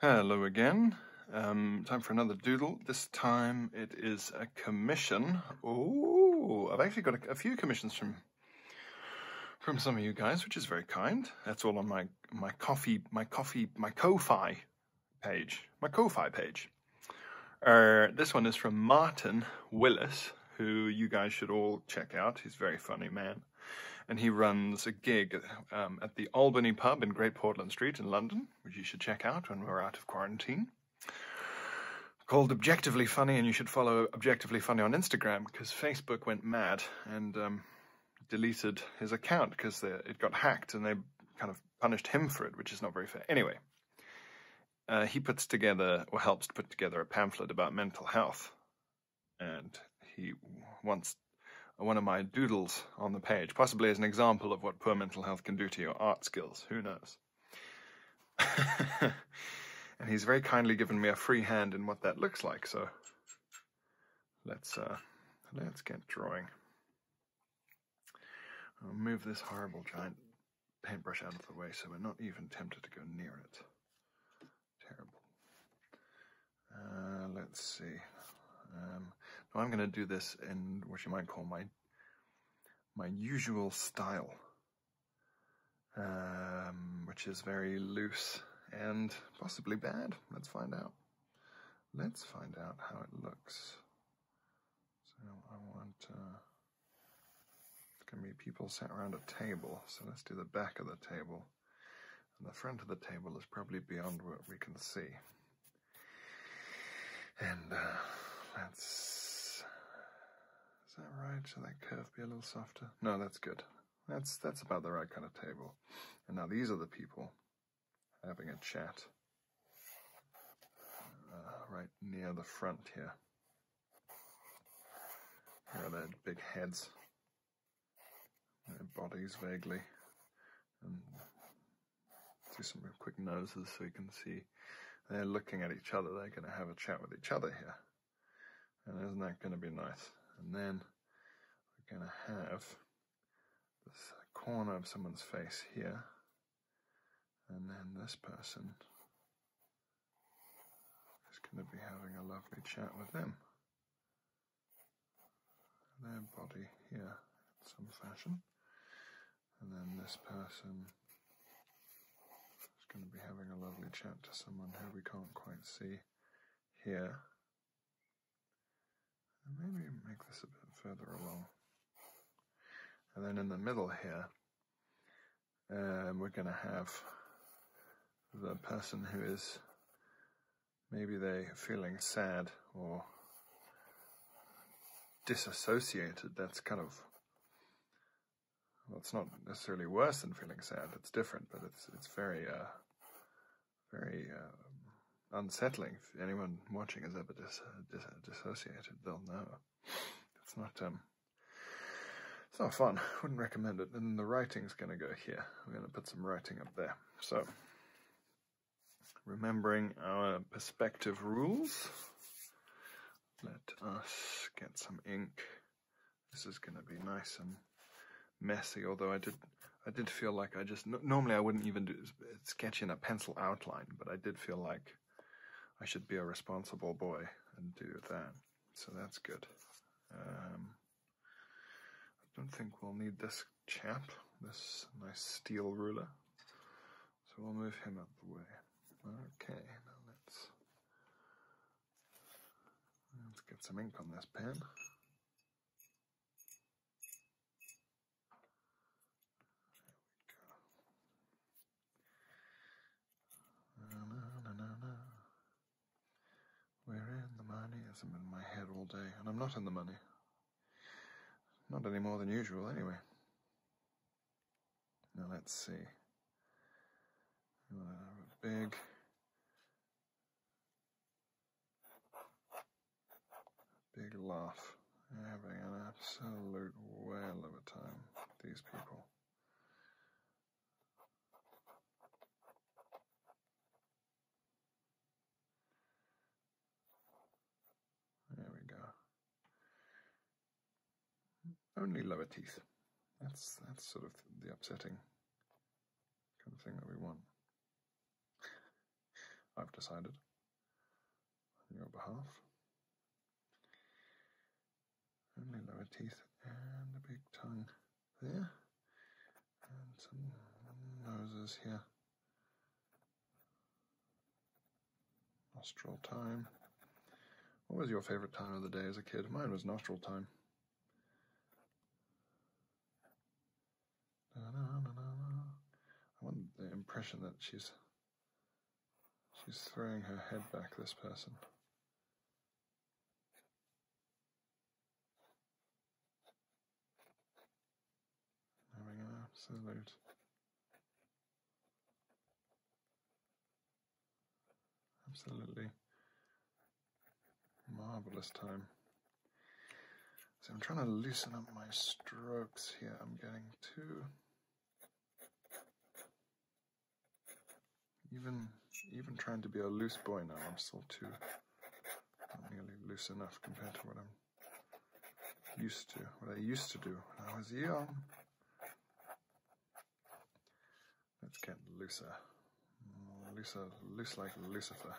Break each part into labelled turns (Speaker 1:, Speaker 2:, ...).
Speaker 1: Hello again. Um, time for another doodle. This time it is a commission. Oh, I've actually got a, few commissions from from some of you guys, which is very kind. That's all on my my coffee my coffee my Ko-fi page my Ko-fi page. Uh, this one is from Martin Willis, who you guys should all check out. He's very funny man and he runs a gig um, at the Albany Pub in Great Portland Street in London, which you should check out when we're out of quarantine, called Objectively Funny, and you should follow Objectively Funny on Instagram because Facebook went mad and um, deleted his account because it got hacked and they kind of punished him for it, which is not very fair. Anyway, uh, he puts together or helps to put together a pamphlet about mental health, and he wants one of my doodles on the page, possibly as an example of what poor mental health can do to your art skills. Who knows? and he's very kindly given me a free hand in what that looks like. So let's uh, let's get drawing. move this horrible giant paintbrush out of the way so we're not even tempted to go near it. Terrible. Uh, let's see. Um, now I'm going to do this in what you might call my my usual style, um, which is very loose and possibly bad. Let's find out. Let's find out how it looks. So I want. Uh, it's going to be people sat around a table, so let's do the back of the table and the front of the table is probably beyond what we can see. And uh, that's Is that right? Should that curve be a little softer? No, that's good. That's that's about the right kind of table. And now these are the people having a chat uh, right near the front here. Here are their big heads their bodies vaguely and um, do some quick noses so you can see they're looking at each other. They're going to have a chat with each other here. And isn't that going to be nice? And then we're going to have this corner of someone's face here. And then this person is going to be having a lovely chat with them their body here in some fashion, and then this person is going to be having a lovely chat to someone who we can't quite see here. maybe make this a bit further along. And then in the middle here, um, we're going to have the person who is Maybe they're feeling sad or disassociated. That's kind of well, it's not necessarily worse than feeling sad. It's different, but it's it's very uh, very um, unsettling. If anyone watching is ever disassociated, they'll know. It's not um, it's not fun. Wouldn't recommend it. And the writing's going to go here. I'm going to put some writing up there. So Remembering our perspective rules, let us get some ink. This is going to be nice and messy, although I did I did feel like I just, normally I wouldn't even do, sketch in a pencil outline, but I did feel like I should be a responsible boy and do that. So that's good. Um, I don't think we'll need this chap, this nice steel ruler. So we'll move him out of the way. Okay, now let's let's get some ink on this pen. There we go. We're in the money. As i in my head all day, and I'm not in the money. Not any more than usual, anyway. Now let's see. a big. Big laugh. having an absolute whale of a time, these people. There we go. Only lower teeth. That's that's sort of the upsetting kind of thing that we want. I've decided on your behalf. Only lower teeth and a big tongue there and some noses here. Nostril time. What was your favorite time of the day as a kid? Mine was nostril time. I want the impression that she's she's throwing her head back. This person. Having an absolute absolutely marvelous time. So I'm trying to loosen up my strokes here. I'm getting too even even trying to be a loose boy now. I'm still too nearly loose enough compared to what I'm used to, what I used to do when I was young. Let's get looser. Looser, loose like Lucifer.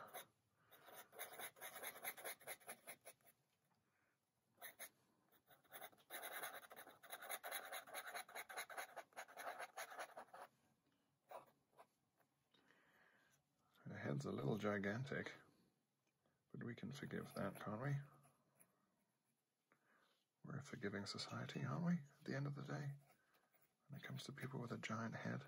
Speaker 1: Her head's a little gigantic, but we can forgive that, can't we? We're a forgiving society, aren't we, at the end of the day? When it comes to people with a giant head.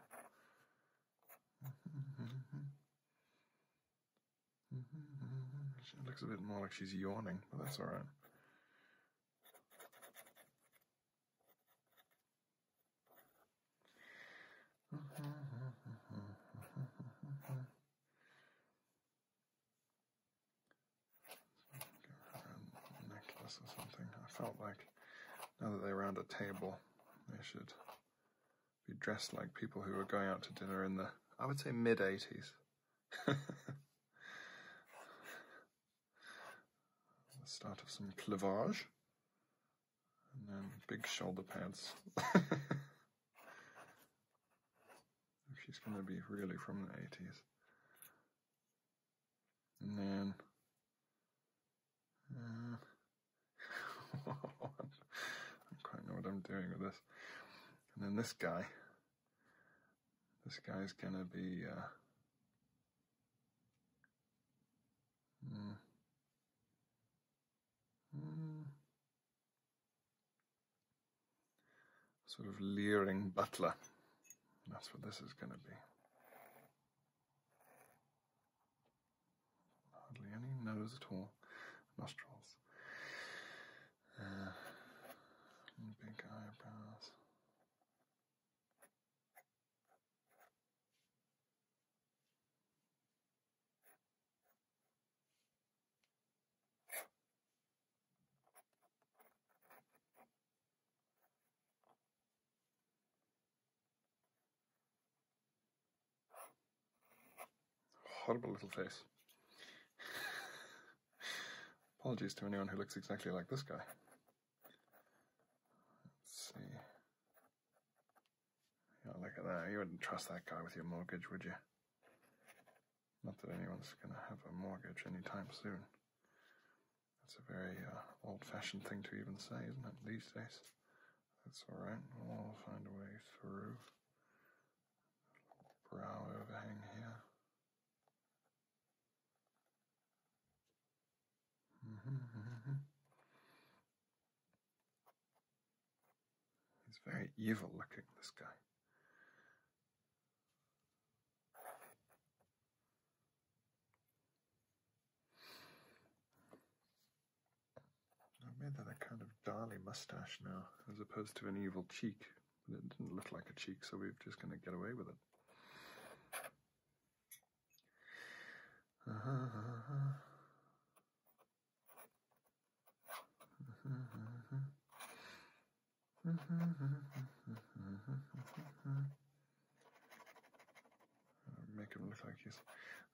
Speaker 1: She looks a bit more like she's yawning, but that's alright necklace or something. I felt like now that they're around a table, they should be dressed like people who are going out to dinner in the, I would say, mid 80s. the start of some cleavage. And then big shoulder pads. she's going to be really from the 80s. And then. Uh, I don't quite know what I'm doing with this. And then this guy. This guy's going to be. Uh, hmm. Sort of leering butler. That's what this is going to be. Hardly any nose at all. Nostrils. Uh, big eyebrows. Horrible little face. Apologies to anyone who looks exactly like this guy. Let's see look at that. You wouldn't trust that guy with your mortgage, would you? Not that anyone's going to have a mortgage anytime soon. That's a very uh, old fashioned thing to even say, isn't it, these days? That's alright. We'll find a way through. Brow overhang here.
Speaker 2: Mm-hmm, mm-hmm, mm-hmm.
Speaker 1: He's very evil looking, this guy. I made that kind of Dali mustache now, as opposed to an evil cheek. But it didn't look like a cheek, so we're just going to get away with it. Make him look like he's.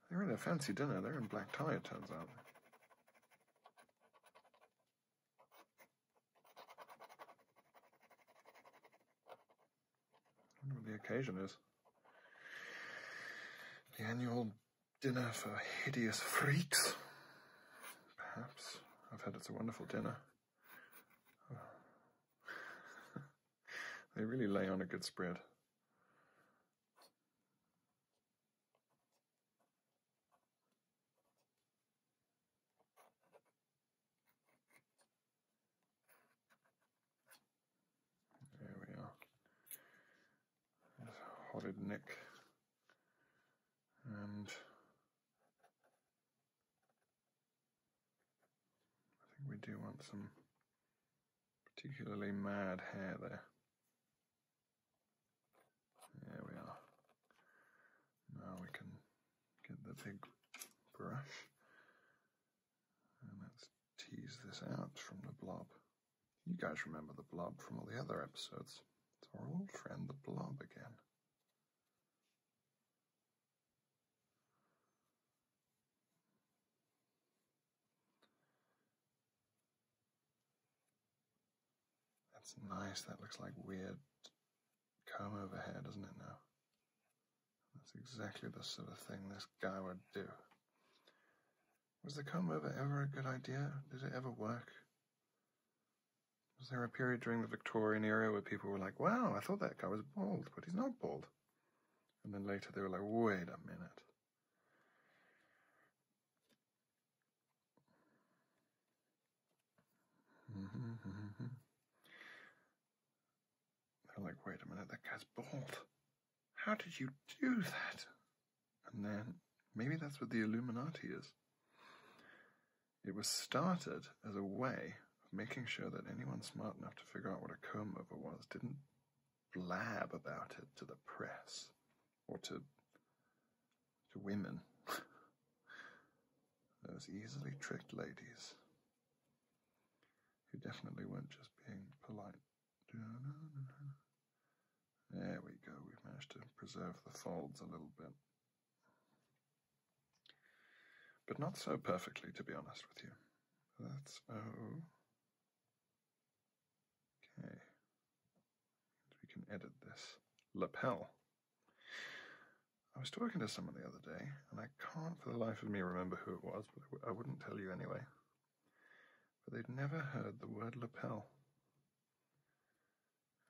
Speaker 1: They're in a fancy dinner. They're in black tie, it turns out. I wonder what the occasion is. The annual dinner for hideous freaks? Perhaps. I've heard it's a wonderful dinner. they really lay on a good spread. There we are. There's horrid Nick. And I think we do want some particularly mad hair there. There we are. Now we can get the big brush and let tease this out from the blob. You guys remember the blob from all the other episodes. It's our old friend, the blob, again. That's nice. That looks like weird comb over hair, doesn't it now? That's exactly the sort of thing this guy would do. Was the comeover ever a good idea? Did it ever work? Was there a period during the Victorian era where people were like, wow, I thought that guy was bald, but he's not bald? And then later they were like, wait a minute. Mm-hmm, mm-hmm, mm-hmm. They're like, wait a minute, that guy's bald. How did you do that? And then maybe that's what the Illuminati is. It was started as a way of making sure that anyone smart enough to figure out what a comb over was didn't blab about it to the press or to to women. Those easily tricked ladies who definitely weren't just being polite. There we go, we've managed to preserve the folds a little bit. But not so perfectly, to be honest with you. That's oh, Okay. We can edit this. Lapel. I was talking to someone the other day, and I can't for the life of me remember who it was, but I wouldn't tell you anyway but they'd never heard the word lapel.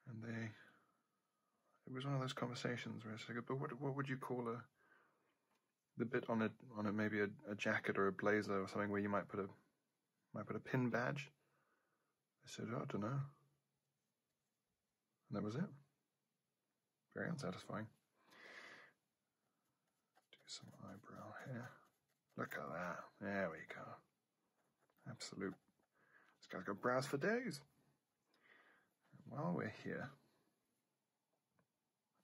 Speaker 1: And they, it was one of those conversations where it's like, but what, what would you call a, the bit on a, on a maybe a, a jacket or a blazer or something where you might put a, might put a pin badge? I said, oh, I don't know. And that was it. Very unsatisfying. Do some eyebrow here. Look at that. There we go. Absolute. This guy's got brows for days. while we're here,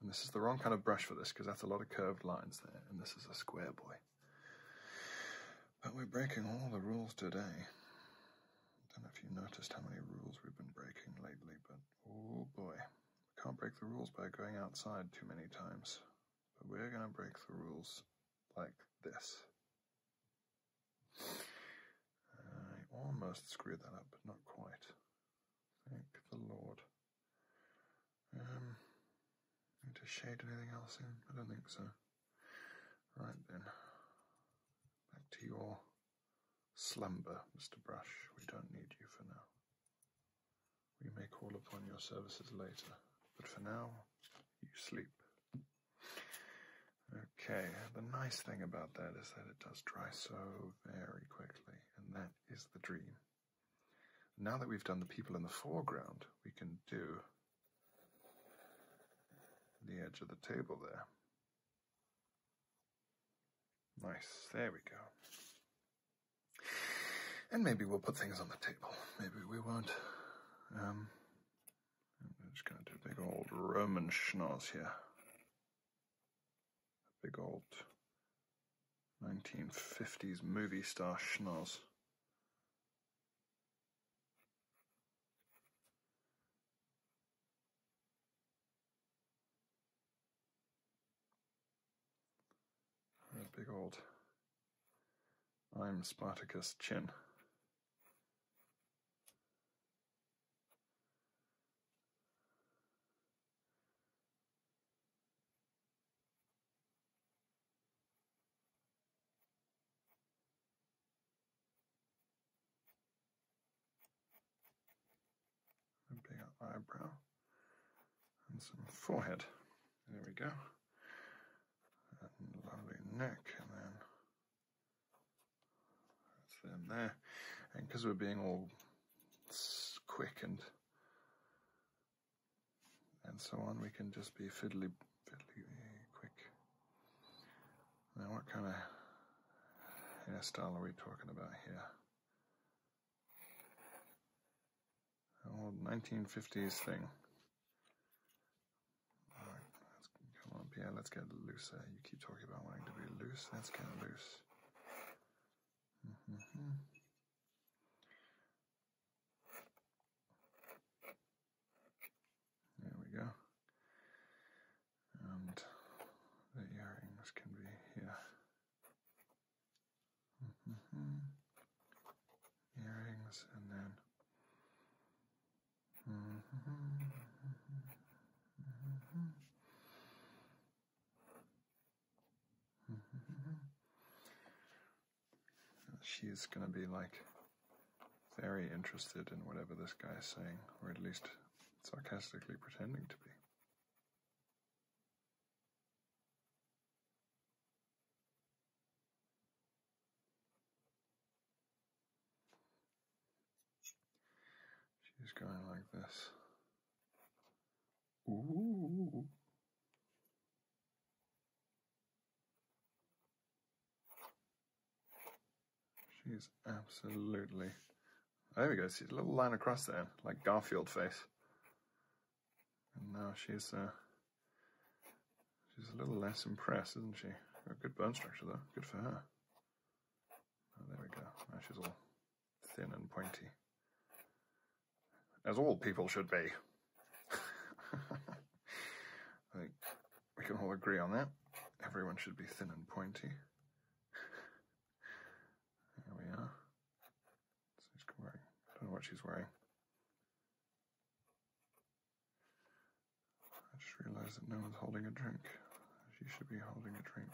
Speaker 1: and this is the wrong kind of brush for this because that's a lot of curved lines there, and this is a square boy. But we're breaking all the rules today. I don't know if you noticed how many rules we've been breaking lately, but oh boy. We can't break the rules by going outside too many times. But we're going to break the rules like this. I almost screwed that up, but not quite. Thank the Lord. Um, need to shade anything else in? I don't think so. Right then. Back to your slumber, Mr. Brush. We don't need you for now. We may call upon your services later, but for now, you sleep. Okay, the nice thing about that is that it does dry so very quickly, and that is the dream. Now that we've done the people in the foreground, we can do the edge of the table there. Nice, there we go. And maybe we'll put things on the table. Maybe we won't. Um, I'm just going to do a big old Roman schnoz here. big old 1950s movie star schnoz. That big old I'm Spartacus chin a big eyebrow, and some forehead. There we go. lovely neck, and then that's there. And because we're being all quick and and so on, we can just be fiddly, fiddly eh, quick. Now, what kind of hairstyle are we talking about here? old 1950s thing. let's come on, Pierre, let's get looser. You keep talking about wanting to be loose, let's get loose. Mm-hmm. There we go. And the earrings can be here. Mm-hmm. Earrings and then.
Speaker 2: Mm-hmm.
Speaker 1: She's gonna be like very interested in whatever this guy's saying, or at least sarcastically pretending to be. She's going like this.
Speaker 2: Ooh.
Speaker 1: She's absolutely. There we go. See the little line across there, like Garfield face. And now she's uh, she's a little less impressed, isn't she? a good bone structure though. Good for her. Oh, there we go. she's all thin and pointy, as all people should be. I think we can all agree on that. Everyone should be thin and pointy. there we are. So she's wearing, I don't know what she's wearing. I just realized that no one's holding a drink. She should be holding a drink.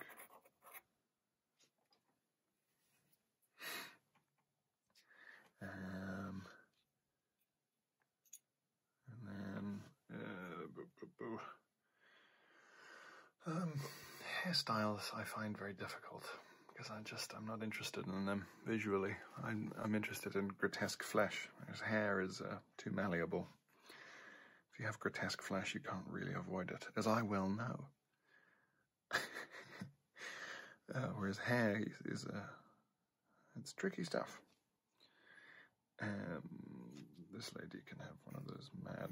Speaker 1: Um, and then, uh, um, hairstyles I find very difficult because I just I'm not interested in them visually. I'm, interested in grotesque flesh. His hair is uh, too malleable. If you have grotesque flesh, you can't really avoid it, as I well know. Uh, whereas hair is, is uh, it's tricky stuff. Um, this lady can have one of those mad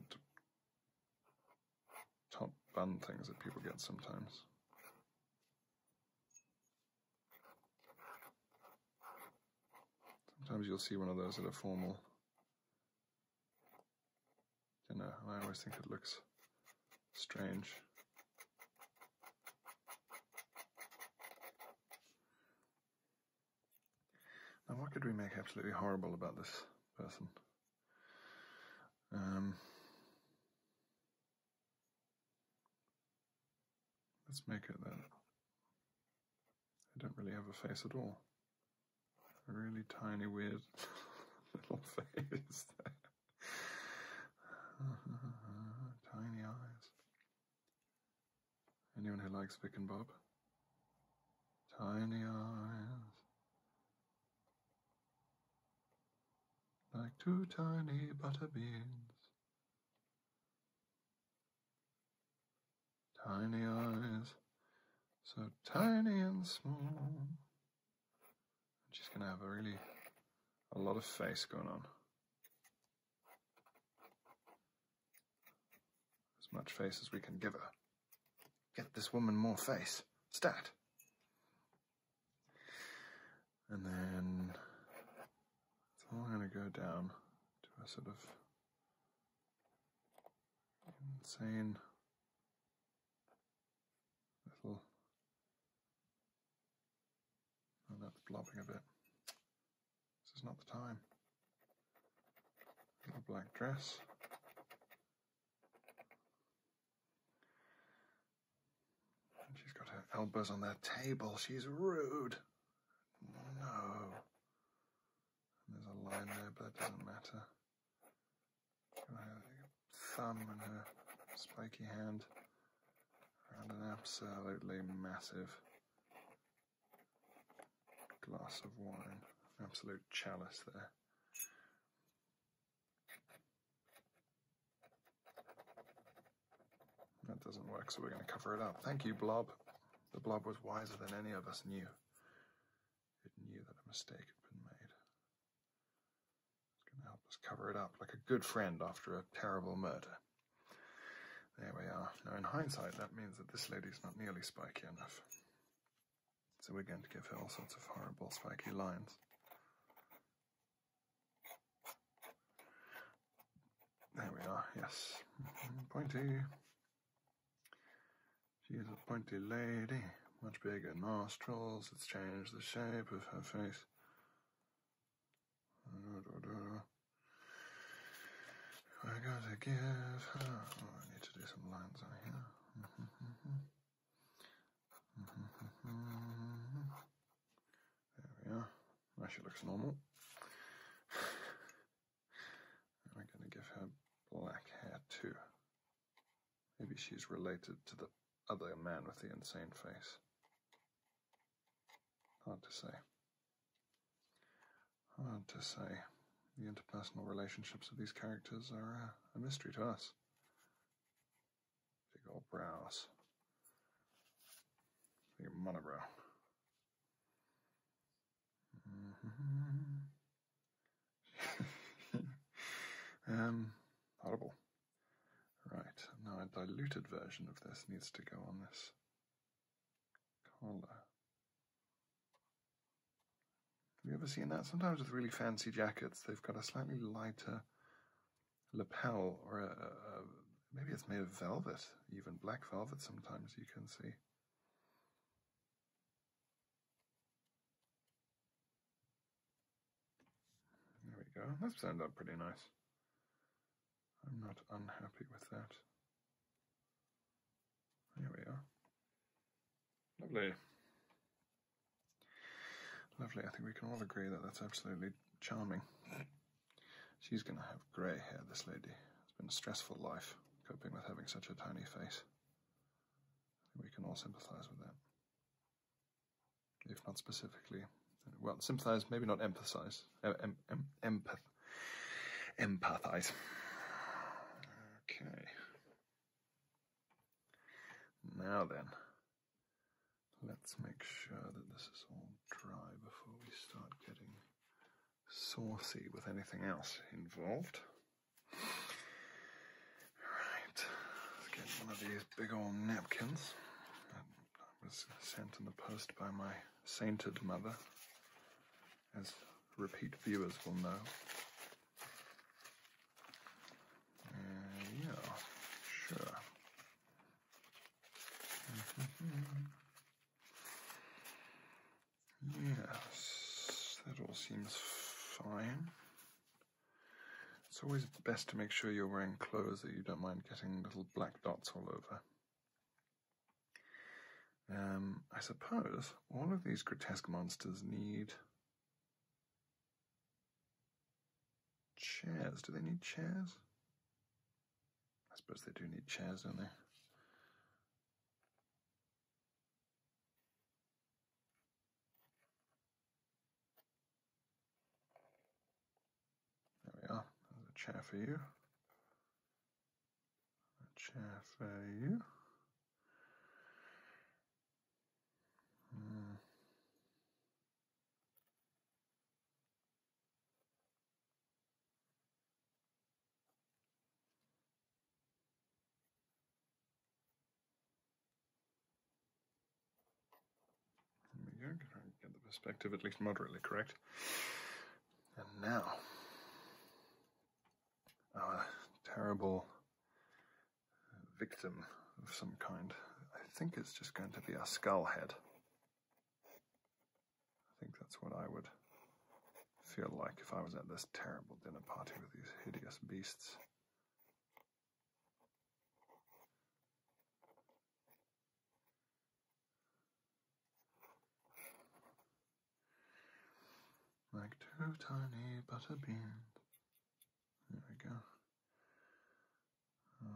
Speaker 1: top bun things that people get sometimes. Sometimes you'll see one of those at a formal dinner, and I always think it looks strange. Now, what could we make absolutely horrible about this person? Um, let's make it that I don't really have a face at all. A really tiny, weird little face tiny eyes. Anyone who likes Vic and Bob? Tiny eyes. Like two tiny butter beans. Tiny eyes, so tiny and small. She's going to have a really a lot of face going on. As much face as we can give her. Get this woman more face. Stat. And then I'm going to go down to a sort of insane little. Oh, that's blobbing a bit. This is not the time. black dress she's got her elbows on that table. She's rude. No. there's a line there, but that doesn't matter. Her thumb and her spiky hand and an absolutely massive glass of wine. Absolute chalice there. That doesn't work, so we're going to cover it up. Thank you, Blob. The Blob was wiser than any of us knew. It knew that a mistake had been made. It's going to help us cover it up like a good friend after a terrible murder. There we are. Now, in hindsight, that means that this lady's not nearly spiky enough. So we're going to give her all sorts of horrible spiky lines. There we are, yes. Mm-hmm, pointy. She's a pointy lady, much bigger nostrils. It's changed the shape of her face. I have gotta give oh, I need to do some lines on here. Mm-hmm, mm-hmm. Mm-hmm. There we are. Now she looks normal. I'm going to give her black hair too. Maybe she's related to the other man with the insane face. Hard to say. Hard to say. The interpersonal relationships of these characters are uh, a mystery to us. Big old brows. Your monobrow.
Speaker 2: mm
Speaker 1: um, audible. Right, now a diluted version of this needs to go on this collar. Have you ever seen that? Sometimes with really fancy jackets, they've got a slightly lighter lapel, or maybe it's made of velvet, even black velvet. Sometimes you can see. There we go. That's turned out pretty nice. I'm not unhappy with that. There we are. Lovely. Lovely. I think we can all agree that that's absolutely charming. She's going to have grey hair, this lady. It's been a stressful life coping with having such a tiny face. we can all sympathise with that. If not specifically, well, sympathise, maybe not empathise. em, em, empath, empathise. Okay. Now then, let's make sure that this is all dry before we start getting saucy with anything else involved. Right, get one of these big old napkins that was sent in the post by my sainted mother, as repeat viewers will know. Uh, yeah, sure. yes, that all seems fine. It's always best to make sure you're wearing clothes that you don't mind getting little black dots all over. Um, I suppose all of these grotesque monsters need Chairs. Do they need chairs? I suppose they do need chairs, don't they? There we are. There's a chair for you. A chair for you. Mm. There we go, get the perspective at least moderately correct. And now, our terrible victim of some kind. I think it's just going to be a skull head. I think that's what I would feel like if I was at this terrible dinner party with these hideous beasts. Like two tiny butter beans there we go. Oh,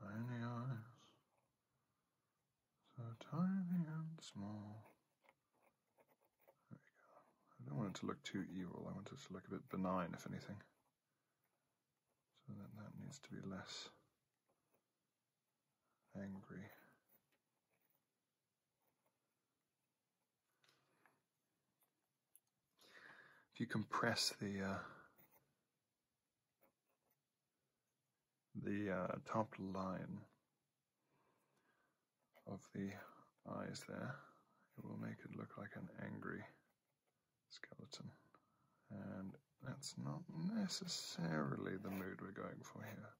Speaker 1: tiny eyes, so tiny and small. There we go. I don't want it to look too evil. I want it to look a bit benign, if anything. So that needs to be less angry. If you compress the uh, the uh, top line of the eyes there, it will make it look like an angry skeleton. And that's not necessarily the mood we're going for here.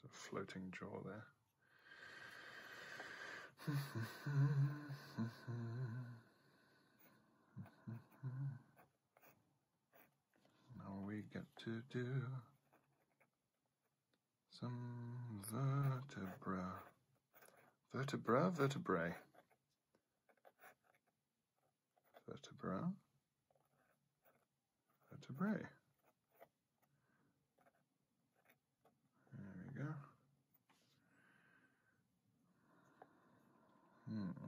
Speaker 1: Sort of floating jaw there. now we get to do some vertebra. Vertebra, vertebrae vertebra, vertebrae. There we go. Hmm.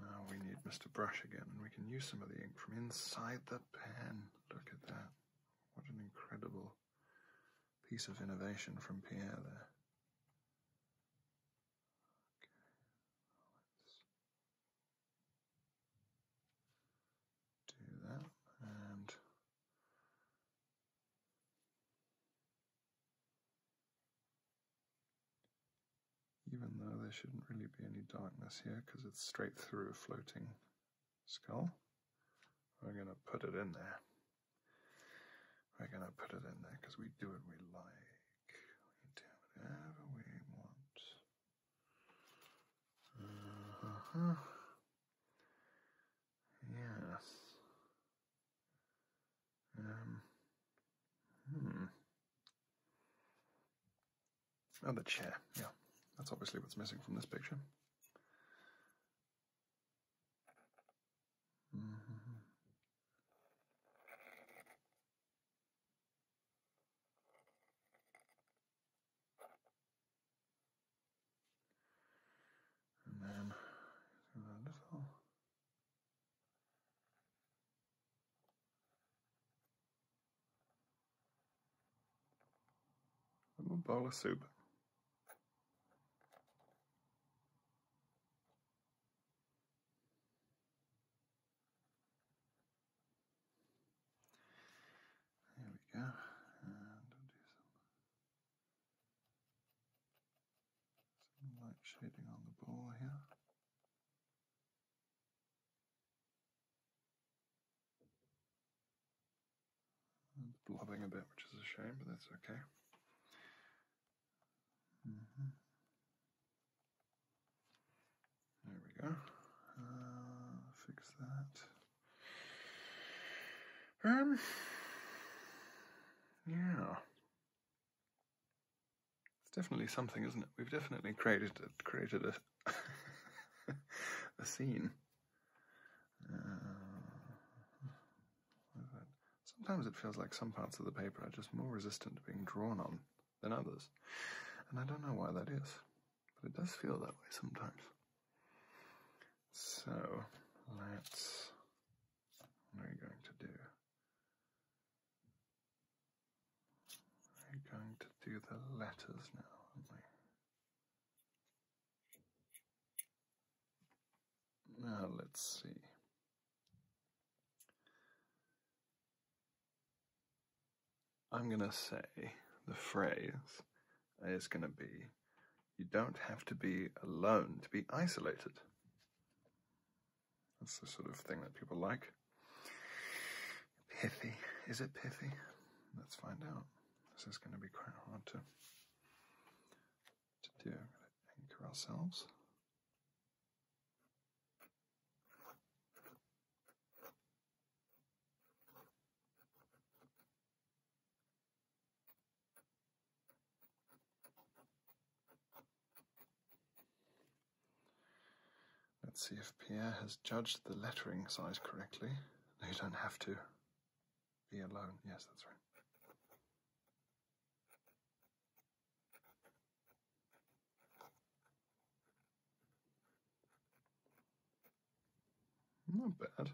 Speaker 1: Now we need Mr. Brush again, and we can use some of the ink from inside the pen. Look at that. What an incredible piece of innovation from Pierre there. Okay. Let's do that and even though there shouldn't really be any darkness here because it's straight through floating skull. We're going to put it in there. We're going to put it in there because we do what we like. We do whatever we want. Uh-huh. Yes. Um. Hmm. And the chair, yeah. That's obviously what's missing from this picture. Mm -hmm.
Speaker 2: And then a little.
Speaker 1: I'm a bowl of soup. There we go. And do some, light shading on the ball here. It's blobbing a bit, which is a shame, but that's okay. Mm-hmm. There we go. Uh, fix that. Um. Yeah. It's definitely something, isn't it? We've definitely created a, created a a scene sometimes it feels like some parts of the paper are just more resistant to being drawn on than others, and I don't know why that is, but it does feel that way sometimes. So let's. What are going to do? We're going to do the letters now, now let's see. I'm going to say the phrase is going to be you don't have to be alone to be isolated. That's the sort of thing that people like. Pithy. Is it pithy? Let's find out. This is going to be quite hard to, to do. Anchor ourselves. Let's see if Pierre has judged the lettering size correctly. you don't have to. Be alone. Yes, that's right. Not bad.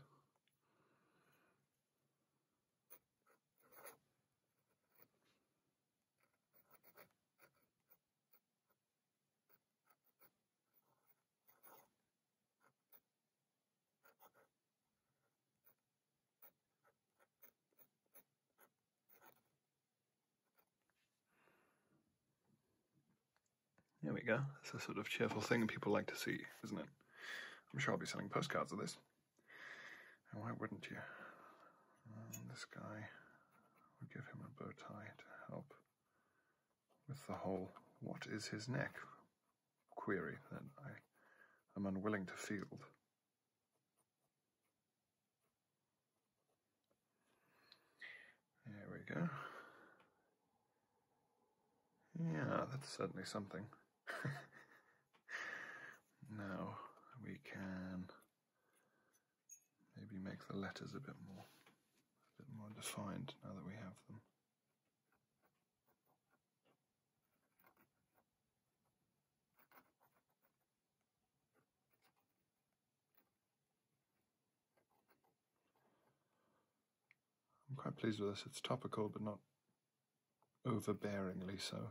Speaker 1: There we go. It's a sort of cheerful thing people like to see, isn't it? I'm sure I'll be selling postcards of this. And why wouldn't you? Um, this guy, we give him a bow tie to help with the whole what is his neck query that I am unwilling to field. There we go. Yeah, that's certainly something. now we can maybe make the letters a bit more a bit more defined now that we have them. I'm quite pleased with this. It's topical, but not overbearingly so.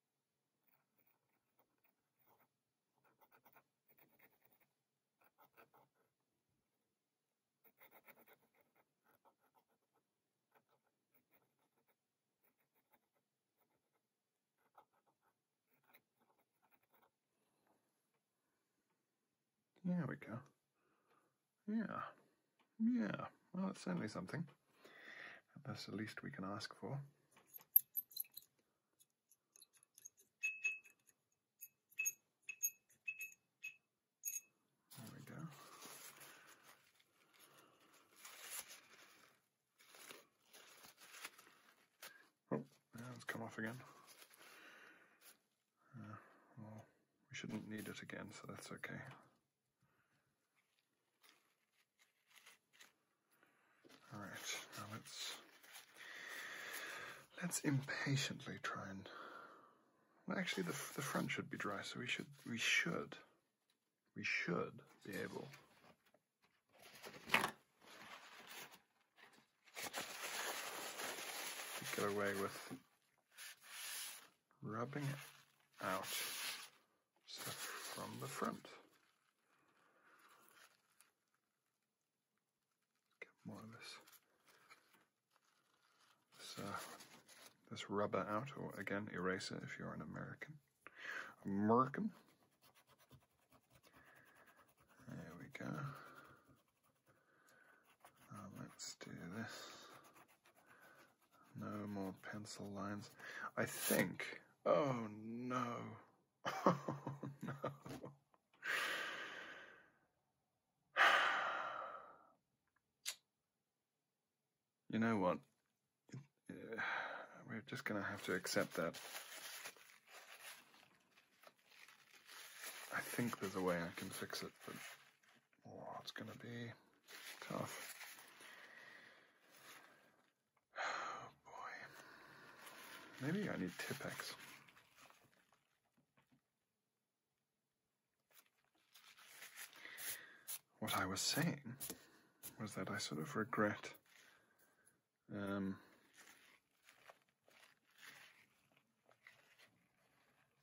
Speaker 1: There we go. Yeah. Yeah. Well, it's certainly something. That's the least we can ask for. There we go. Oh, that's come off again. Uh, well, we shouldn't need it again, so that's okay. All right, now let's let's impatiently try and. Well, actually, the the front should be dry, so we should we should we should be able. to Get away with rubbing it out from the front. Get more of this uh, this, rubber out, or again, eraser if you're an American. American. There we go. Uh, let's do this. No more pencil lines. I think Oh no. Oh, no. You know what? We're just going to have to accept that. I think there's a way I can fix it, but oh, it's going to be tough. Oh boy. Maybe I need Tipex. What I was saying was that I sort of regret um,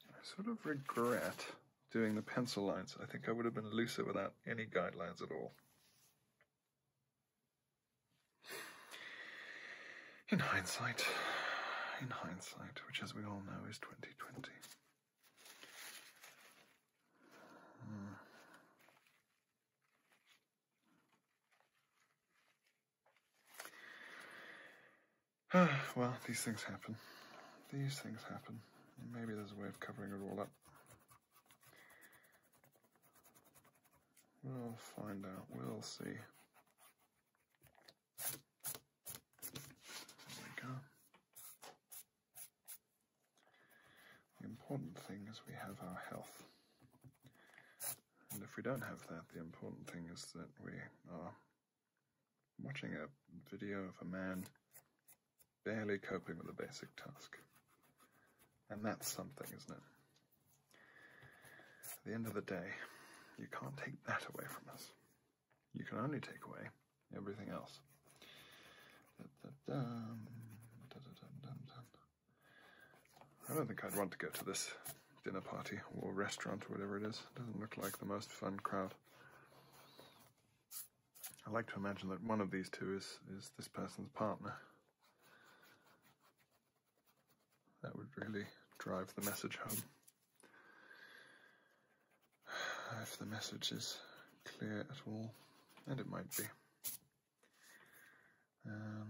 Speaker 1: I sort of regret doing the pencil lines. I think I would have been looser without any guidelines at all. In hindsight, in hindsight, which as we all know is 2020. Hmm. well, these things happen. These things happen. Maybe there's a way of covering it all up. We'll find out. We'll see. There we go. The important thing is we have our health. And if we don't have that, the important thing is that we are watching a video of a man barely coping with a basic task. And that's something, isn't it? At the end of the day, you can't take that away from us. You can only take away everything else. I don't think I'd want to go to this dinner party or restaurant or whatever it is. It doesn't look like the most fun crowd. I like to imagine that one of these two is is this person's partner. That would really drive the message home. If the message is clear at all, and it might be. Uh,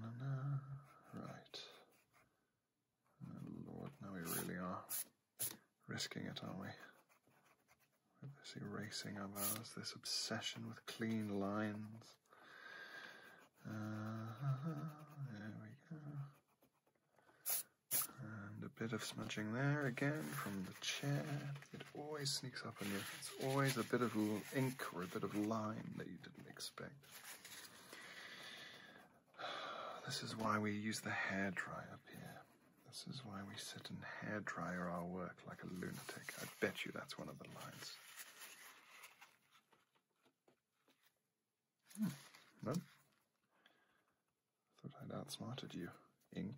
Speaker 1: right. Oh, Lord, now we really are risking it, aren't we? This erasing of ours, this obsession with clean lines. there we go. And a bit of smudging there again from the chair. It always sneaks up on you. It's always a bit of ink or a bit of line that you didn't expect. This is why we use the hairdryer, here. This is why we sit and hairdryer our work like a lunatic. I bet you that's one of the lines. No? Hmm. Thought I'd outsmarted you, Ink.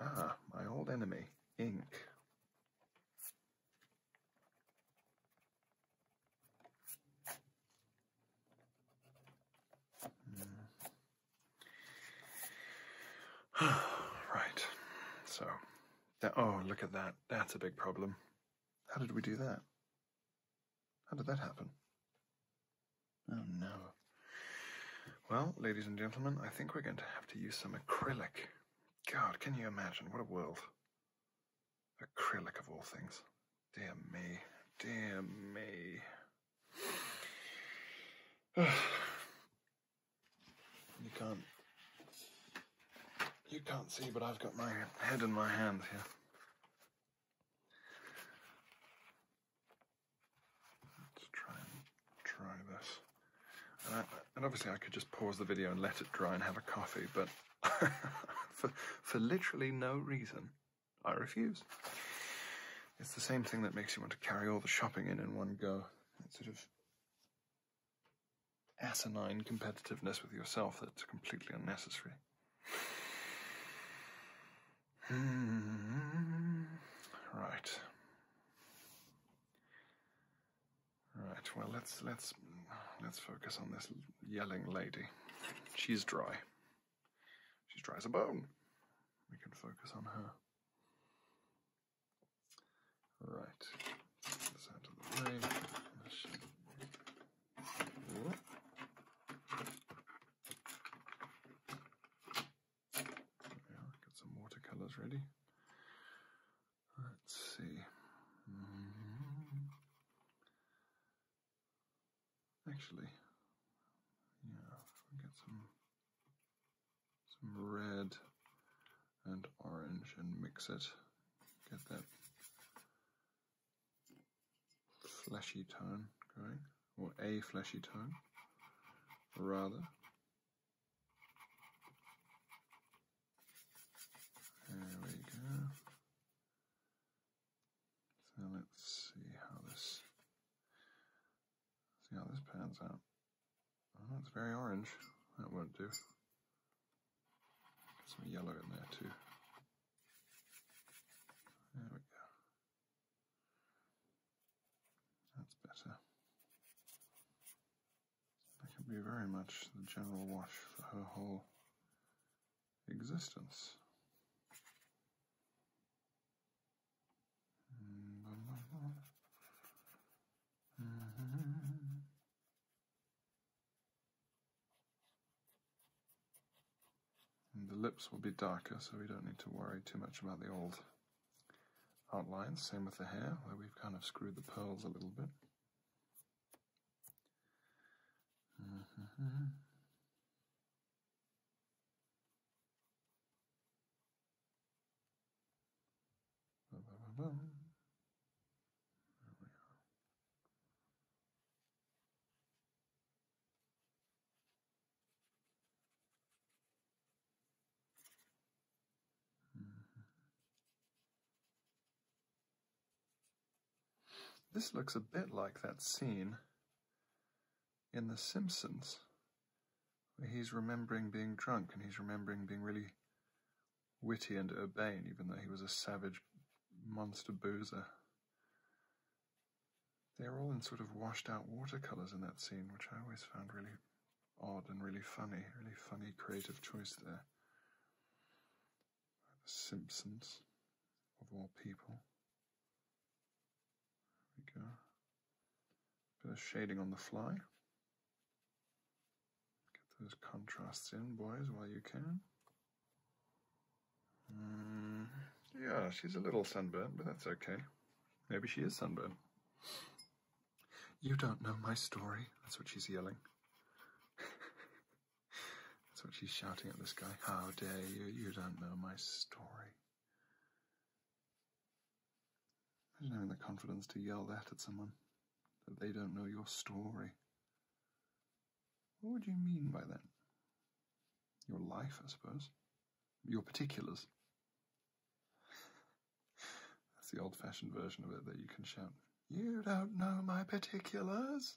Speaker 1: Ah, my old enemy, Ink. Hmm. right. So, oh, look at that. That's a big problem. How did we do that? How did that happen? Oh no. Well, ladies and gentlemen, I think we're going to have to use some acrylic. God, can you imagine? What a world. Acrylic of all things. Dear me. Dear me. You can't you can't see, but I've got my head in my hands here. Let's try and try this. and obviously I could just pause the video and let it dry and have a coffee, but for, for literally no reason, I refuse. It's the same thing that makes you want to carry all the shopping in in one go that sort of asinine competitiveness with yourself that's completely unnecessary. Hmm. right. Right. Well, let's let's let's focus on this yelling lady. She's dry. She's dry as a bone. We can focus on her. Right. Get this Get some watercolors ready. Let's see. Mm-hmm. Actually, yeah, get some some red and orange and mix it. Get that fleshy tone going, or a fleshy tone, rather. There we go. So let's see how this see how this pans out that's oh, very orange. That won't do. some yellow in there too. There we go. That's better. That can be very much the general wash for her whole existence.
Speaker 2: Mm-hmm.
Speaker 1: the lips will be darker, so we don't need to worry too much about the old outlines. Same with the hair, where we've kind of screwed the pearls a little bit. Mm-hmm. Mm-hmm. This looks a bit like that scene in The Simpsons He's remembering being drunk and he's remembering being really witty and urbane, even though he was a savage monster boozer. They're all in sort of washed out watercolours in that scene, which I always found really odd and really funny, really funny creative choice there. The Simpsons, of all people. There we go. Bit of shading on the fly. Get those contrasts in, boys, while you can. Mm, yeah, she's a little sunburned, but that's okay. Maybe she is sunburned. You don't know my story. That's what she's yelling. That's what she's shouting at this guy. How dare you? You don't know my story. I Imagine having the confidence to yell that at someone, that they don't know your story. What would you mean by that? Your life, I suppose. Your particulars. That's the old fashioned version of it that you can shout, You don't know my particulars!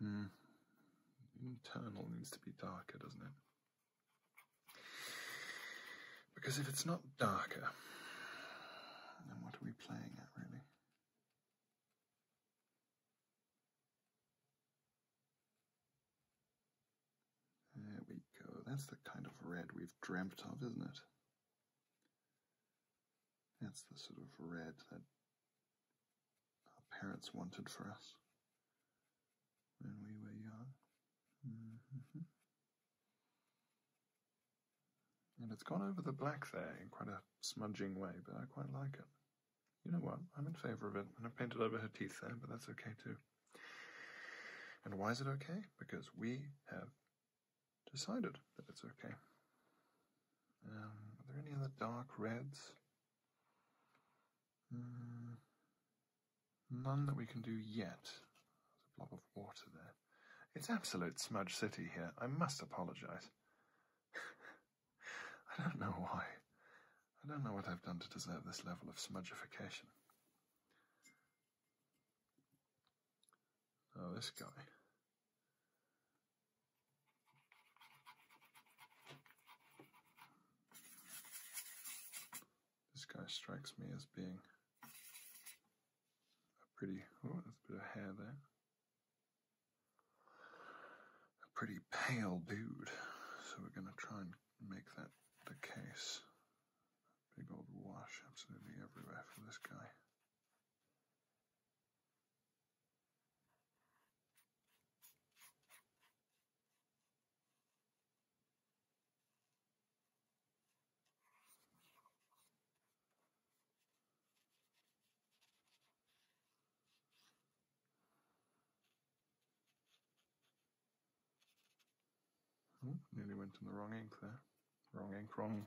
Speaker 1: Hmm. Internal needs to be darker, doesn't it? Because if it's not darker, then what are we playing at really? There we go. That's the kind of red we've dreamt of, isn't it? That's the sort of red that our parents wanted for us when we were young. Mm-hmm. And it's gone over the black there in quite a smudging way, but I quite like it. You know what? I'm in favour of it. And I painted over her teeth there, but that's okay too. And why is it okay? Because we have decided that it's okay. Um, are there any other dark reds? Hmm, none that we can do yet. There's a blob of water there. It's absolute smudge city here. I must apologize. I don't know why. I don't know what I've done to deserve this level of smudgification. Oh, this guy. This guy strikes me as being a pretty, oh, there's a bit of hair there. A pretty pale dude. So we're going to try and make that the case. Big old wash absolutely everywhere from this guy. Hmm, nearly went in the wrong ink there. Wrong ink, wrong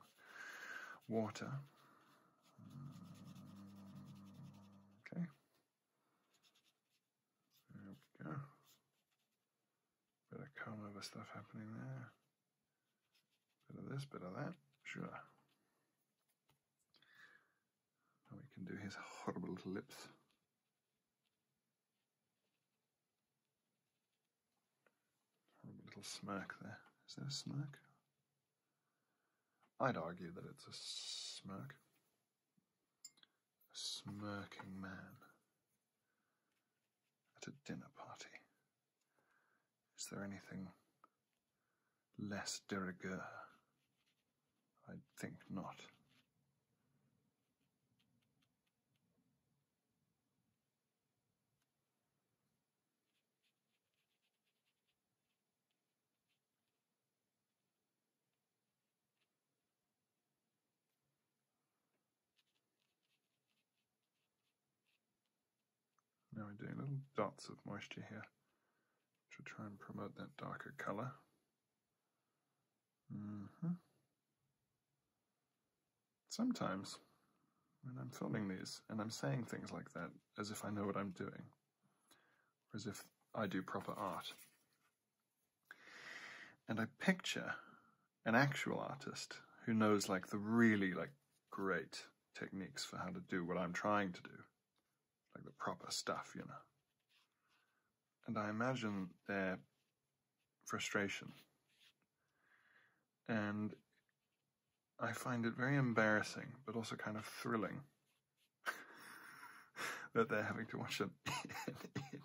Speaker 1: water. okay. There we go. Bit of comb over stuff happening there. Bit of this, bit of that. Sure. Now we can do his horrible little lips. A little smirk there. Is there a smirk? I'd argue that it's a smirk. A smirking man at a dinner party. Is there anything less de rigueur? I think not. Now we're doing little dots of moisture here, to try and promote that darker color. -hmm. Sometimes, when I'm filming these and I'm saying things like that as if I know what I'm doing, or as if I do proper art. And I picture an actual artist who knows like the really like great techniques for how to do what I'm trying to do, like the proper stuff, you know. And I imagine they're frustration. And I find it very embarrassing, but also kind of thrilling that they're having to watch an, idiot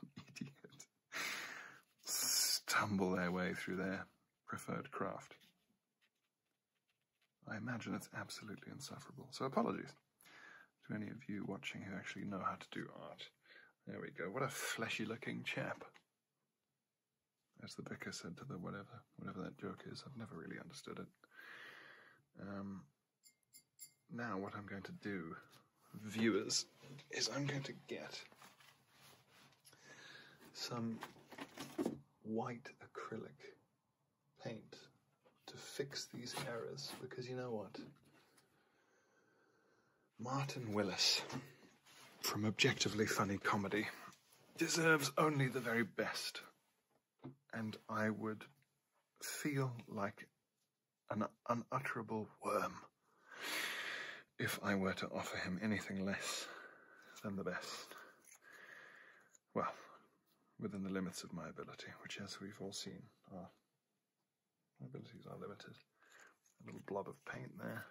Speaker 1: stumble their way through their preferred craft. I imagine it's absolutely insufferable. So apologies to any of you watching who actually know how to do art. There we go. What a fleshy looking chap. As the vicar said to the whatever, whatever that joke is, I've never really understood it. Um, now, what I'm going to do, viewers, is I'm going to get some white acrylic paint to fix these errors because you know what? Martin Willis from Objectively Funny Comedy deserves only the very best. And I would feel like an unutterable worm if I were to offer him anything less than the best. Well, within the limits of my ability, which, as we've all seen, our abilities are limited. A little blob of paint there.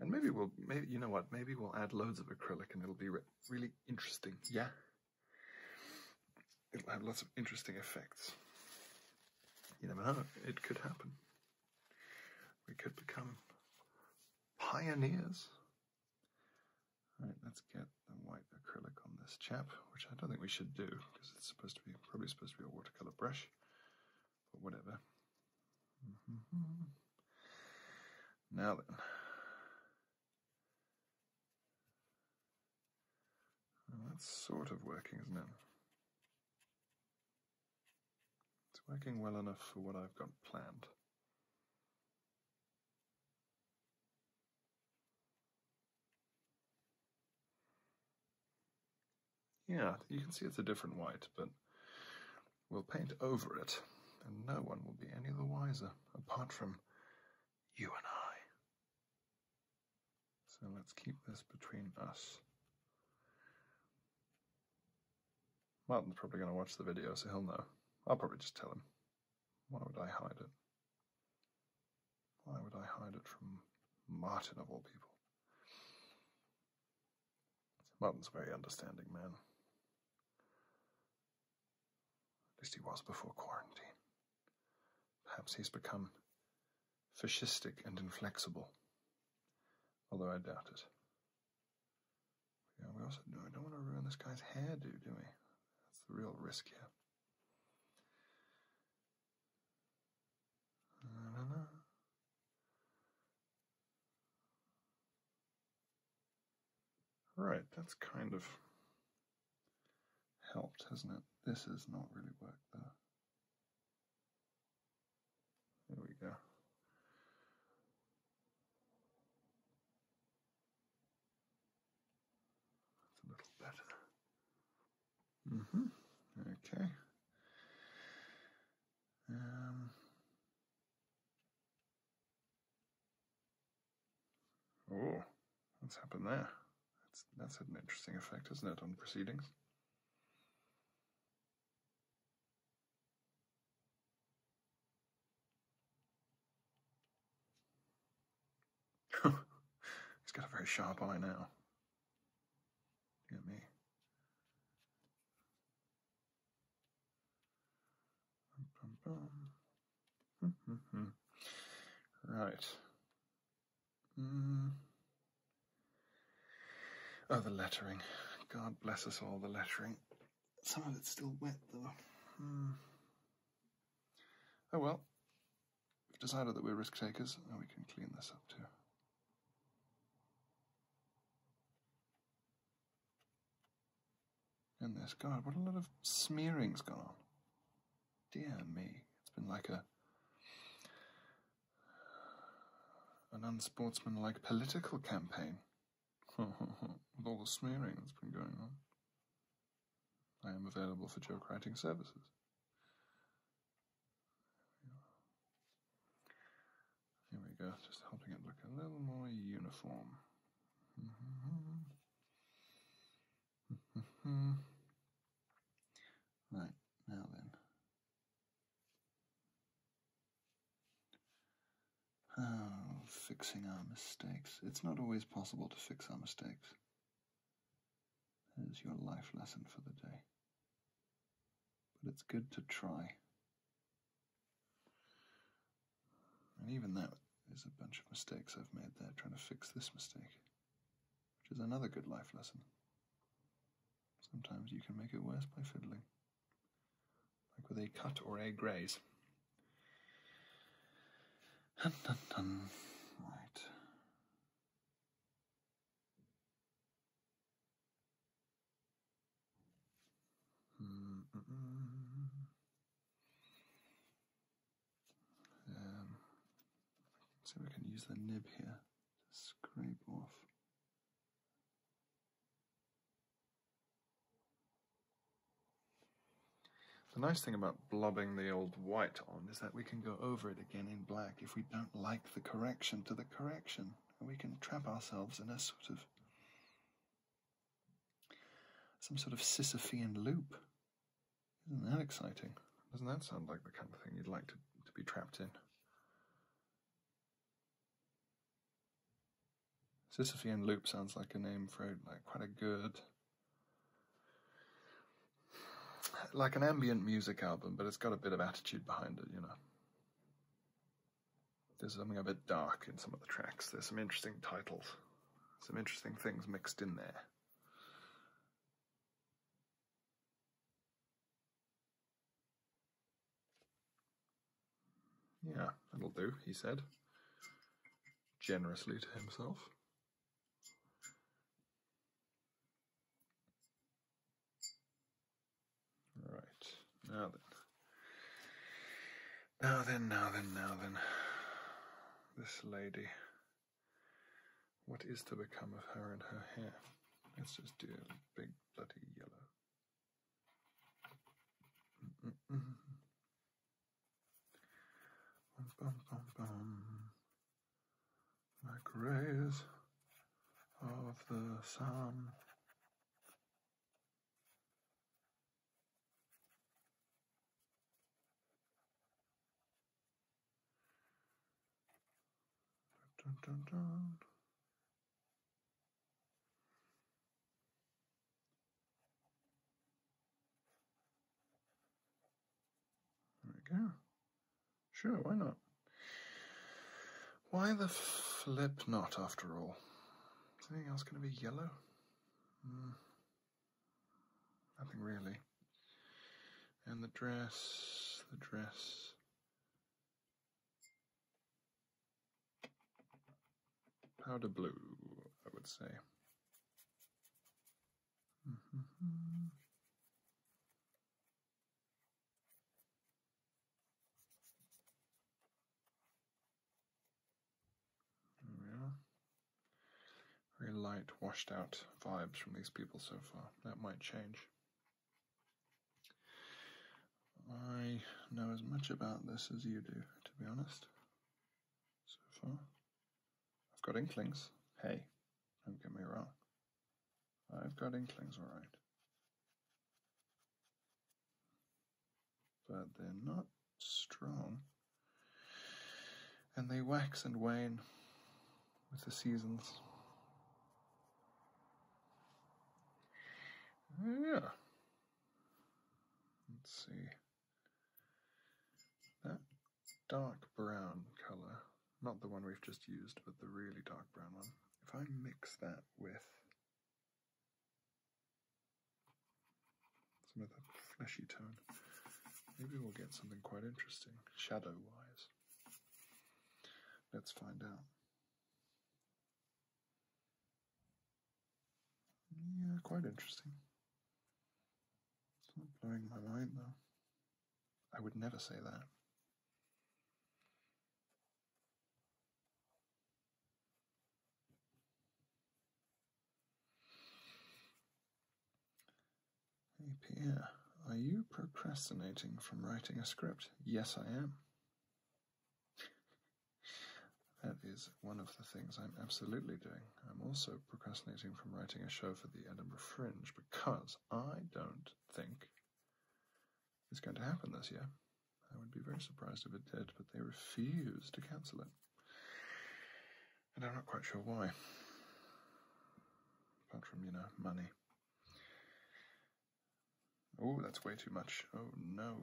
Speaker 1: And maybe we'll, maybe you know what? Maybe we'll add loads of acrylic, and it'll be really interesting. Yeah, it'll have lots of interesting effects. You never know; it could happen. We could become pioneers. All right, let's get the white acrylic on this chap, which I don't think we should do because it's supposed to be probably supposed to be a watercolor brush. But whatever. Mm-hmm. Now that's sort of working, isn't it? It's working well enough for what I've got planned. Yeah, you can see it's a different white, but we'll paint over it, and no one will be any the wiser apart from you and I. So let's keep this between us. Martin's probably going to watch the video, so he'll know. I'll probably just tell him. Why would I hide it? Why would I hide it from Martin, of all people? Martin's a very understanding man. At least he was before quarantine. Perhaps he's become fascistic and inflexible, although I doubt it. Yeah, we also no, don't want to ruin this guy's hairdo, do we? That's the real risk here. Right, that's kind of helped, hasn't it? This has not really worked there. There we go.
Speaker 2: That's a little better. Mm-hmm. Okay. Um,
Speaker 1: oh, what's happened there? That's, that's had an interesting effect, has not it, on proceedings? He's got a very sharp eye now. Look me. Hmm, hmm, hmm. Right. Oh, the lettering. God bless us all, the lettering. Some of it's still wet, though. Oh well. We've decided that we're risk takers, and we can clean this up too. In this God, what a lot of smearing's gone on. Dear me, it's been like a an unsportsmanlike political campaign. With all the smearing that's been going on. I am available for joke writing services. Here we go, just helping it look a little more uniform. right, now then. Oh, fixing our mistakes. It's not always possible to fix our mistakes. That is your life lesson for the day. But it's good to try. And even that is a bunch of mistakes I've made there trying to fix this mistake, which is another good life lesson. Sometimes you can make it worse by fiddling, like with a cut or a graze. Dun, dun, dun. Right. Um, so we can use the nib here to scrape off. The nice thing about blobbing the old white on is that we can go over it again in black if we don't like the correction to the correction we can trap ourselves in a sort of some sort of Sisyphean loop. Isn't that exciting? Doesn't that sound like the kind of thing you'd like to, to be trapped in? Sisyphean loop sounds like a name for like quite a good, like an ambient music album, but it's got a bit of attitude behind it, you know. There's something a bit dark in some of the tracks. There's some interesting titles, some interesting things mixed in there. Yeah, that'll do, he said, generously to himself. Right. Now then. Now then, now then, now then. This lady. What is to become of her and her hair? Let's just do a big bloody yellow like rays of the sun. There we go. Sure, why not? Why the flip not, after all? anything else going to be yellow? Hmm. Nothing really. And the dress, the dress. Powder blue, I would say. Mm-hmm. Very light, washed out vibes from these people so far. That might change. I know as much about this as you do, to be honest. So far, I've got inklings. Hey, don't get me wrong. I've got inklings, all right. But they're not strong. And they wax and wane with the seasons. Yeah. Let's see. That dark brown color not the one we've just used, but the really dark brown one. If I mix that with some other that fleshy tone, maybe we'll get something quite interesting, shadow wise. Let's find out. Yeah, quite interesting. It's not blowing my mind though. I would never say that. Pierre, are you procrastinating from writing a script? Yes, I am. that is one of the things I'm absolutely doing. I'm also procrastinating from writing a show for the Edinburgh Fringe because I don't think is going to happen this year. I would be very surprised if it did, but they refuse to cancel it. And I'm not quite sure why. Apart from, you know, money. Oh, that's way too much. Oh no.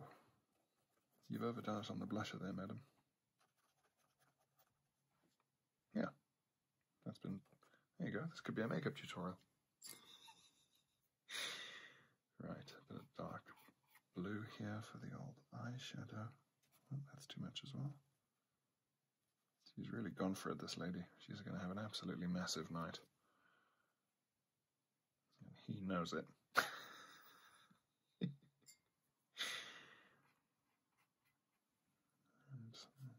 Speaker 1: You've overdone it on the blusher there, madam. Yeah. That's been. There you go. This could be a makeup tutorial. Right, a bit of dark blue here for the old eyeshadow. Oh, that's too much as well. She's really gone for it, this lady. She's going to have an absolutely massive night. And he knows it. and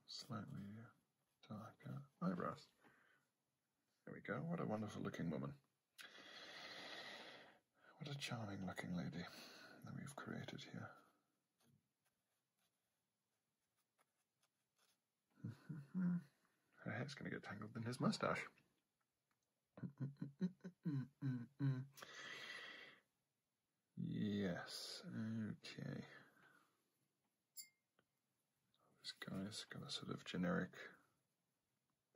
Speaker 1: slightly darker eyebrows. There we go. What a wonderful looking woman. What a charming looking lady that we've created here. Her hair's going to get tangled in his mustache. yes, okay this guy's got a sort of generic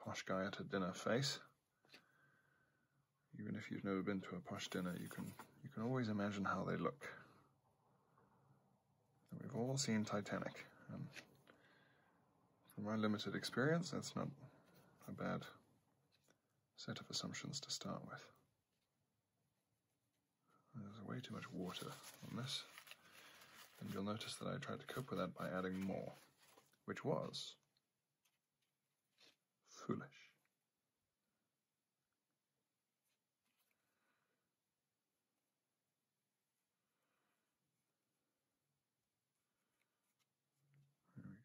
Speaker 1: posh guy at a dinner face. Even if you've never been to a posh dinner, you can you can always imagine how they look. we've all seen Titanic, and from my limited experience, that's not a bad set of assumptions to start with. There's way too much water on this. And you'll notice that I tried to cope with that by adding more, which was foolish.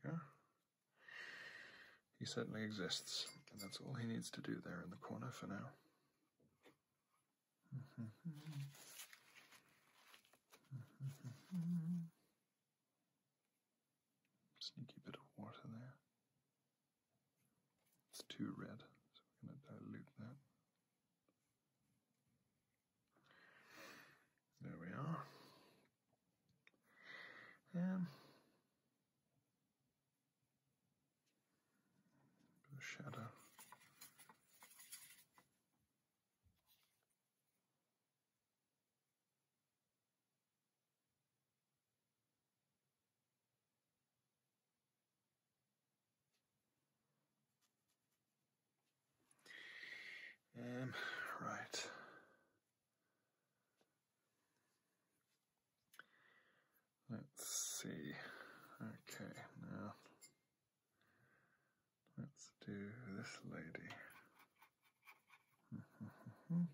Speaker 1: There we go. He certainly exists, and that's all he needs to do there in the corner for now. Mm-hmm. Sneaky bit of water there. It's too red, so we're going to dilute that. There we are.
Speaker 2: Um, the shadow. Um,
Speaker 1: right. Let's see. Okay, now let's do this lady.
Speaker 2: bum,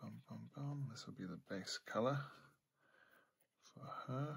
Speaker 1: bum, bum, bum. This will be the base color for her.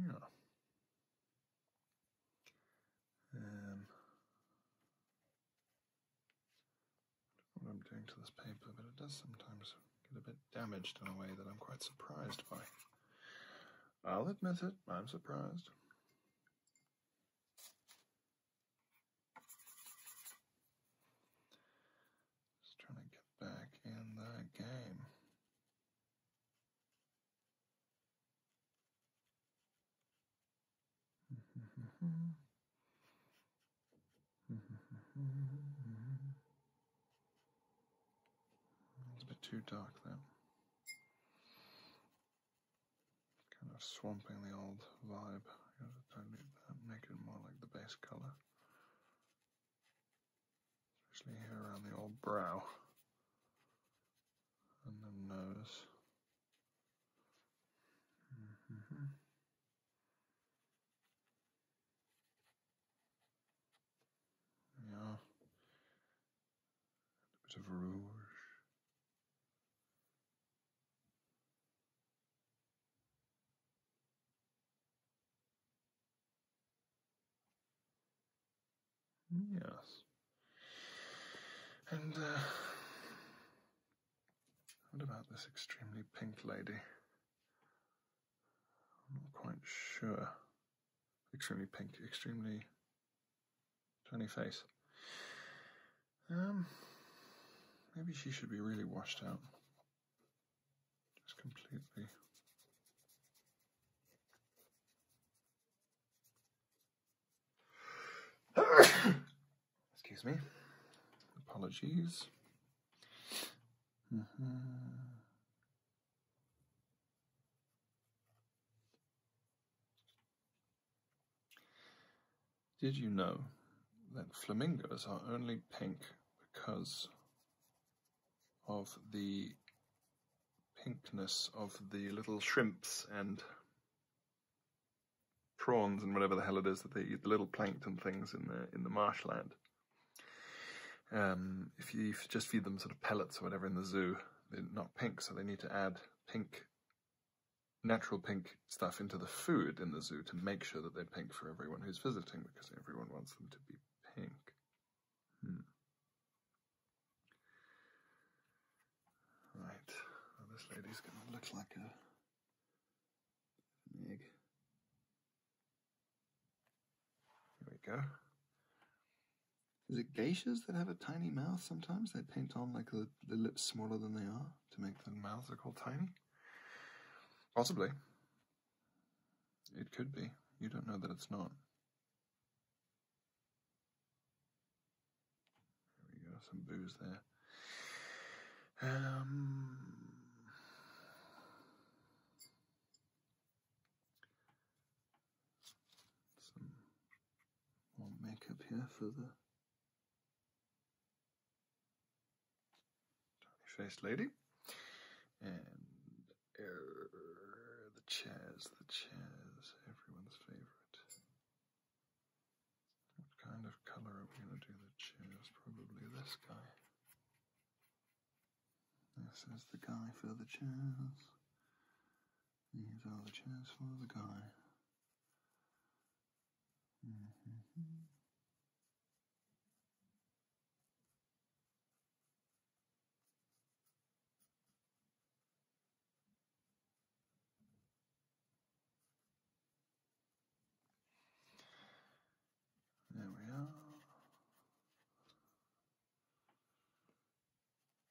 Speaker 1: Yeah. Um, what I'm doing to this paper, but it does sometimes get a bit damaged in a way that I'm quite surprised by. I'll admit it, I'm surprised. Just trying to get back in the game. it's a bit too dark though. Kind of swamping the old vibe. make it more like the base color. Especially here around the old brow and the nose. Mm-hmm. Yeah. A bit of rouge. Yes. And, uh, what about this extremely pink lady? I'm not quite sure. Extremely pink, extremely Tiny face. Um, maybe she should be really washed out. Just completely. Excuse me. Apologies. Mm-hmm. Did you know that flamingos are only pink because of the pinkness of the little shrimps and prawns and whatever the hell it is that the little plankton things in the in the marshland. Um, if you just feed them sort of pellets or whatever in the zoo, they're not pink, so they need to add pink, natural pink stuff into the food in the zoo to make sure that they're pink for everyone who's visiting, because everyone wants them to be pink. Hmm. Right, this lady's going to look like an egg. Here we go. Is it geishas that have a tiny mouth sometimes? They paint on like the, the lips smaller than they are to make the mouths look all tiny? Possibly. It could be. You don't know that it's not. There we go, some booze there. Um, some more makeup here for the tiny-faced lady, and er, the chairs, the chairs, everyone's favorite. What kind of color are we going to do the chairs? Probably this guy. This is the guy for the chairs. These are the chairs for the guy. Mm-hmm.
Speaker 2: There we are.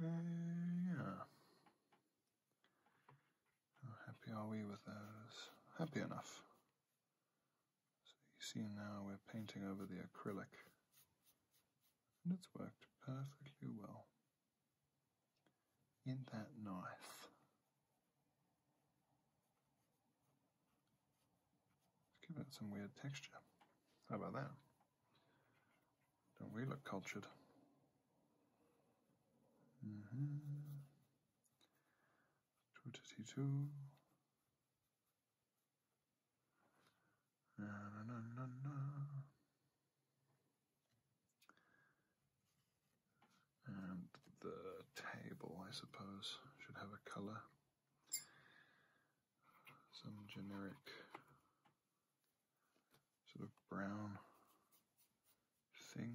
Speaker 1: Uh, yeah. How happy are we with those? Happy enough. So you see now we're painting over the acrylic and it's worked perfectly well. in that knife. Let's give it some weird texture. How about that? Don't we look cultured? Mm and the table, I suppose, should have a color. Some generic sort of brown thing.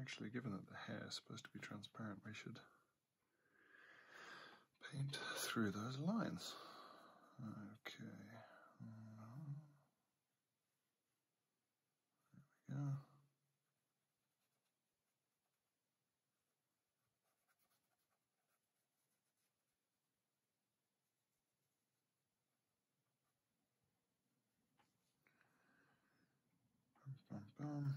Speaker 1: Actually, given that the hair is supposed to be transparent, we should paint through those lines. Okay. There we go.
Speaker 2: Bum, bum,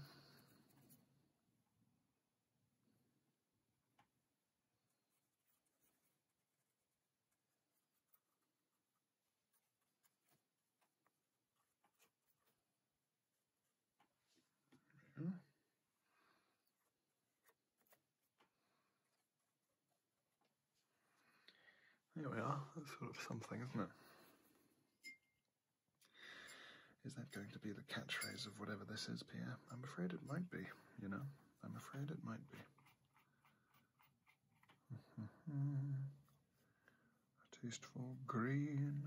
Speaker 1: there we are, that's sort of something, isn't it? Is that going to be the catchphrase of whatever this is, Pierre? I'm afraid it might be, you know. I'm afraid it might be. A tasteful green,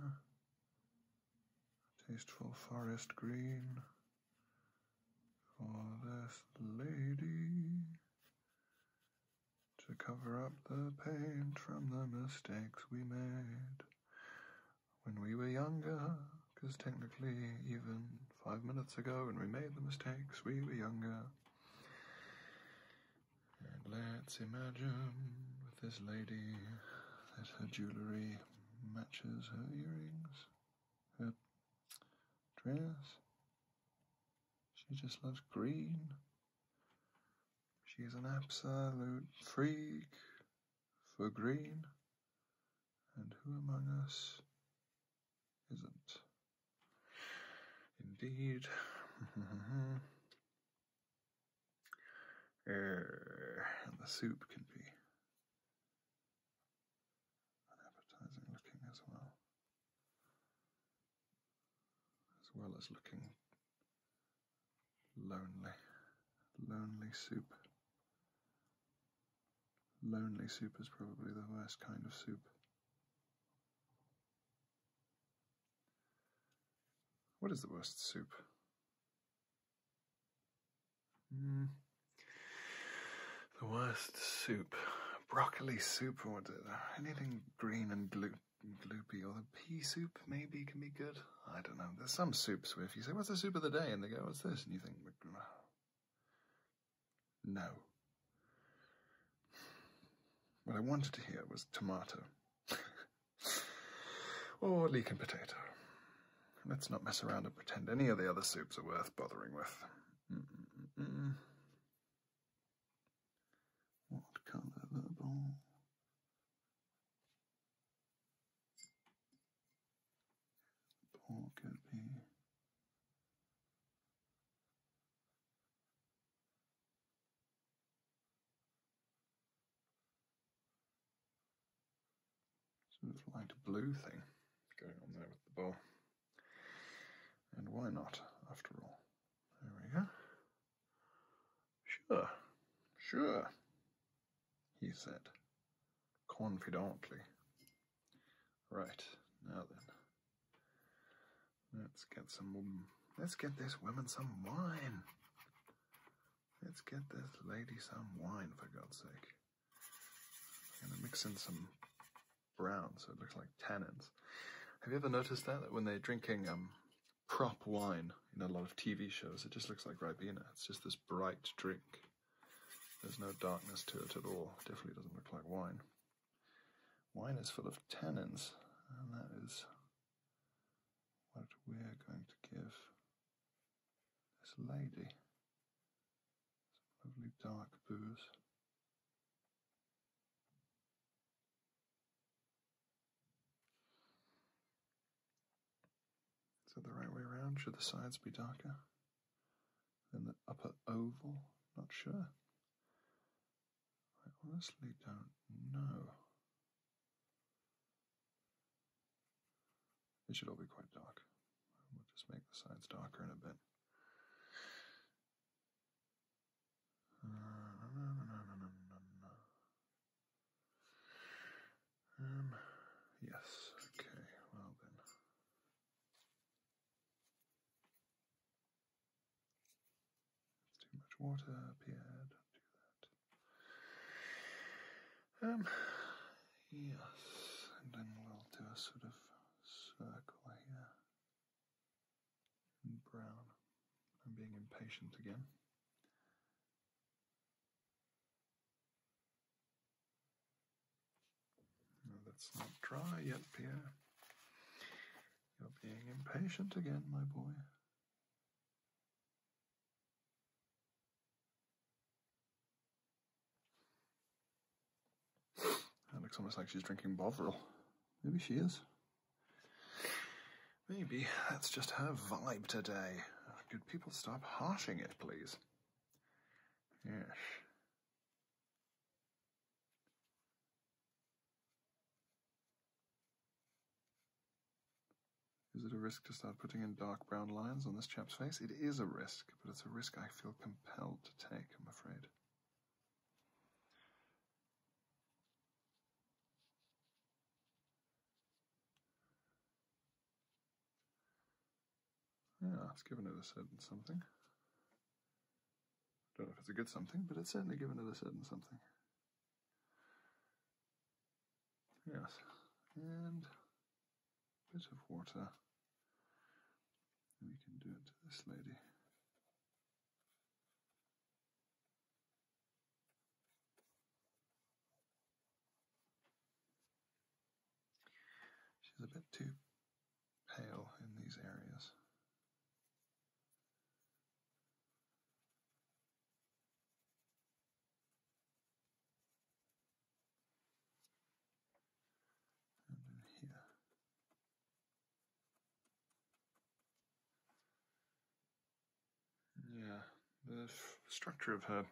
Speaker 1: a tasteful forest green for this lady to cover up the pain from the mistakes we made when we were younger, because technically, even five minutes ago when we made the mistakes, we were younger. And let's imagine with this lady that her jewellery matches her earrings, her dress. She just loves green. She's an absolute freak for green, and who among us isn't? Indeed. and the soup can be unappetizing looking as well, as well as looking Lonely, lonely soup. Lonely soup is probably the worst kind of soup. What is the worst soup? Mm. The worst soup. Broccoli soup or anything green and blue gloopy, or the pea soup maybe can be good. I don't know. There's some soups where if you say, What's the soup of the day? and they go, What's this? and you think, No. What I wanted to hear was tomato or leek and potato. Let's not mess around and pretend any of the other soups are worth bothering with.
Speaker 2: What colour the ball? Paul could be
Speaker 1: sort light blue thing going on there with the ball. And why not, after all? There we go. Sure, sure, he said confidently. Right, now then. Let's get some. Let's get this woman some wine. Let's get this lady some wine, for God's sake. I'm gonna mix in some brown so it looks like tannins. Have you ever noticed that? when they're drinking um, prop wine in a lot of TV shows. It just looks like Ribena. It's just this bright drink. There's no darkness to it at all. Definitely doesn't look like wine. Wine is full of tannins, and that is what we're going to give this lady. Some lovely dark booze. Is it the right way around? Should the sides be darker than the upper oval? Not sure. I honestly don't know. It should all be quite dark. We'll just make the sides darker in a bit. Um, yes, okay, well then. It's too much water, Pierre, don't do that. Um, yes, and then we'll do a sort of circle here. And brown. I'm being impatient again that's not dry yet, Pierre. You're being impatient again, my boy. That looks almost like she's drinking Bovril. Maybe she is. Maybe that's just her vibe today. Uh, could people stop harshing it, please? Yes. Is it a risk to start putting in dark brown lines on this chap's face? It is a risk, but it's a risk I feel compelled to take, I'm afraid. Yeah, it's given it a certain something. Don't know if it's a good something, but it's certainly given it a certain something. Yes, and a bit of water. we can do it to this lady. She's a bit too pale in these areas. And in here. Yeah, the structure of her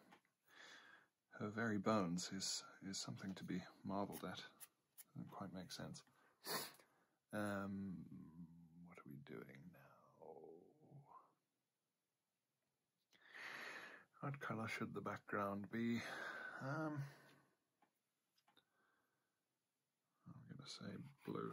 Speaker 1: her very bones is is something to be marvelled at. Doesn't quite make sense. Um, what are we doing now? What colour should the background be? Um, I'm going to say blue.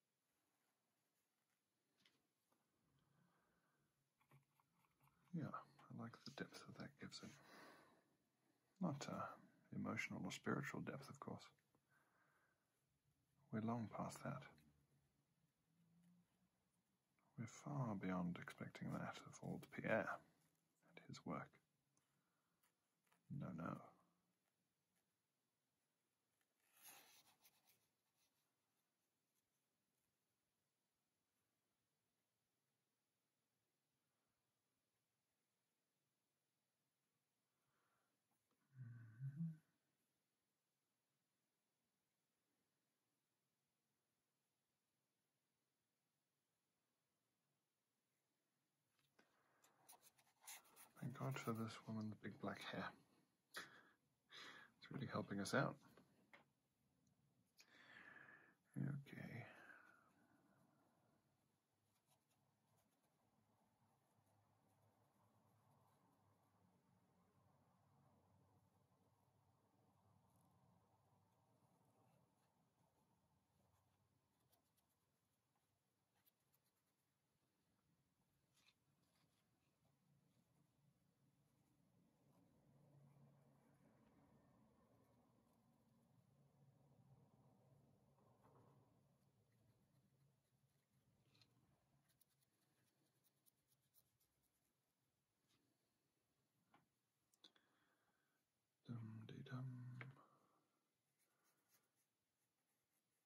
Speaker 1: Yeah, I like the depth that that gives it. Not uh, emotional or spiritual depth, of course. We're long past that. We're far beyond expecting that of old Pierre and his work. No, no. Thank God for this woman's big black hair. It's really helping us out. Okay.
Speaker 2: Dum de dum.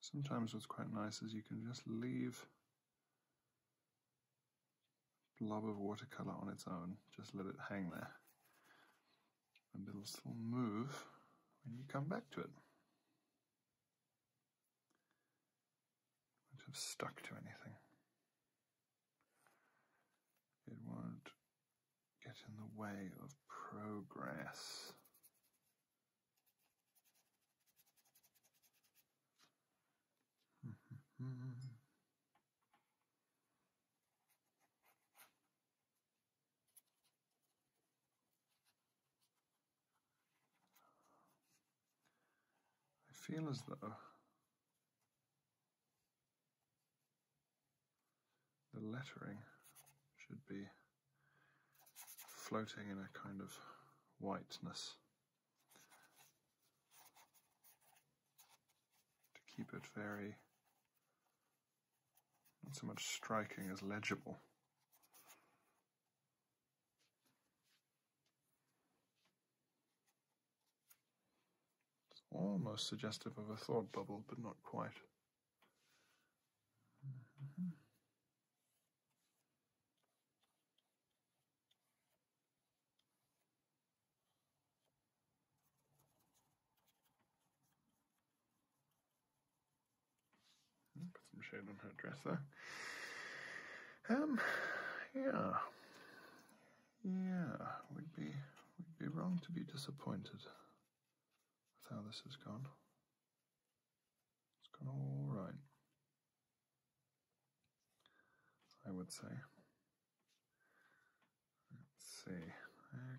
Speaker 1: Sometimes what's quite nice is you can just leave a blob of watercolor on its own, just let it hang there, and it'll still move when you come back to it. It won't have stuck to anything. It won't get in the way of progress. I feel as though the lettering should be floating in a kind of whiteness to keep it very not so much striking as legible. It's almost suggestive of a thought bubble, but not quite. Hmm, put some shade on her dresser.
Speaker 2: Um, yeah,
Speaker 1: yeah, we'd be we'd be wrong to be disappointed with how this has gone. It's gone all right, I would say. Let's see.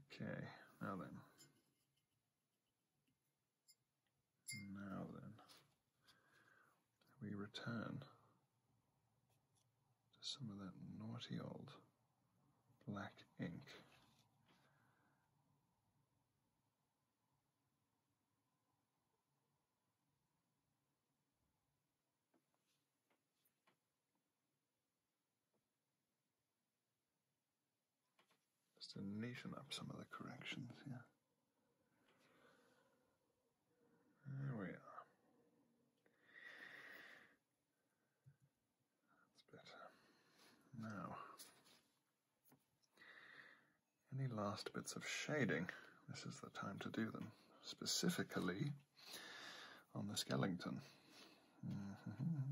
Speaker 1: Okay, now then. Now then, we return just some of that naughty old black ink. Just to neaten up some of the corrections here. There we are. Now, any last bits of shading? This is the time to do them, specifically on the skeleton.
Speaker 2: Mm-hmm.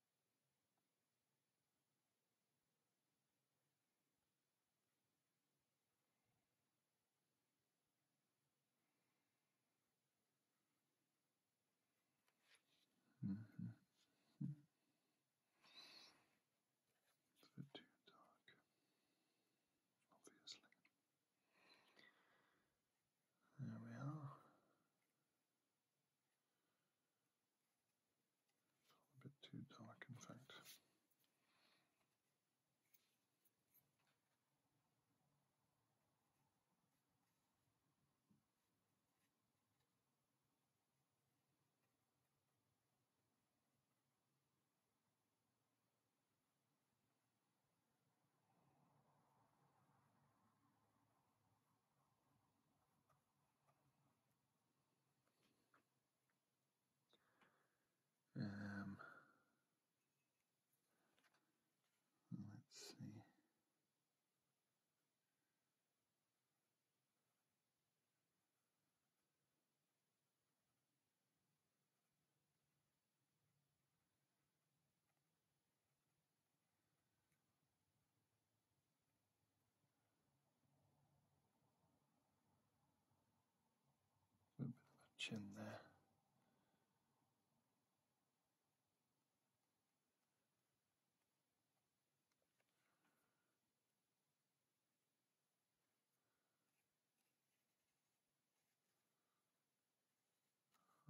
Speaker 1: Mm -hmm. -hmm. It's a bit too dark, obviously. There we are.
Speaker 2: A bit too dark, in fact.
Speaker 1: Um, let's see. A bit of a chin there.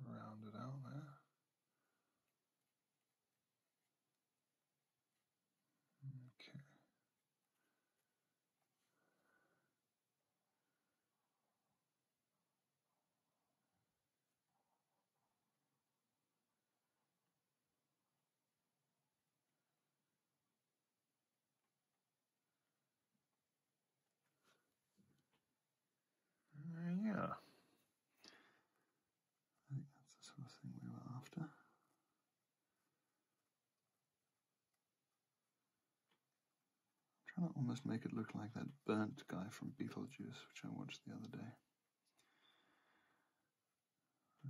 Speaker 1: Round out there. Okay. Uh, yeah. I think that's the sort of thing we were after. I'm trying to almost make it look like that burnt guy from Beetlejuice, which I watched the other day.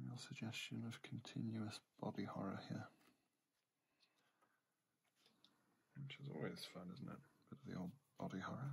Speaker 1: real suggestion of continuous body horror here. Which is always fun, isn't it? Bit of the old body horror.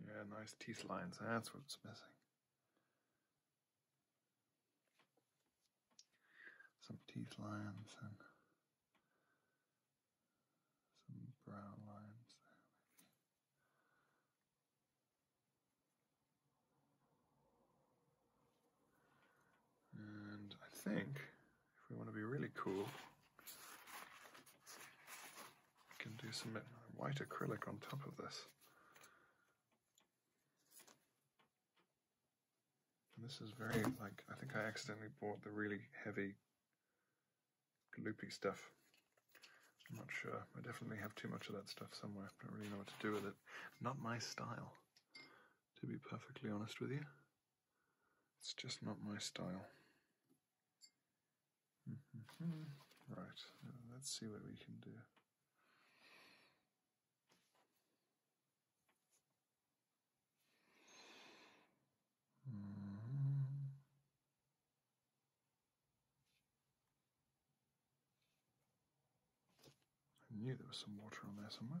Speaker 1: Yeah, nice teeth lines. That's what's missing. Some teeth lines and some brown lines. And I think if we want to be really cool, we can do some white acrylic on top of this. this is very, like, I think I accidentally bought the really heavy, gloopy stuff. I'm not sure. I definitely have too much of that stuff somewhere. I don't really know what to do with it not my style, to be perfectly honest with you. It's just not my style. Right, uh, let's see what we can do. Mm-hmm. I knew there was some water on there somewhere.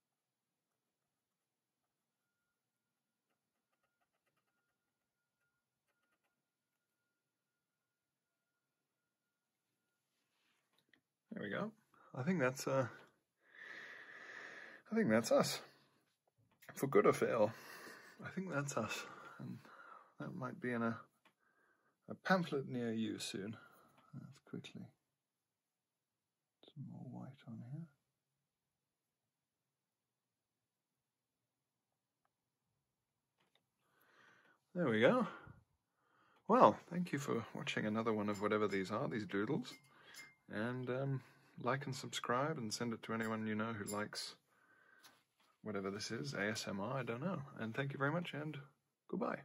Speaker 1: There we go. I think that's uh I think that's us. For good or for ill. I think that's us. And that might be in a a pamphlet near you soon. That's quickly some more white on here. There we go. Well, thank you for watching another one of whatever these are, these doodles. And um, like and subscribe and send it to anyone you know who likes whatever this is, ASMR, I don't know. And thank you very much and goodbye.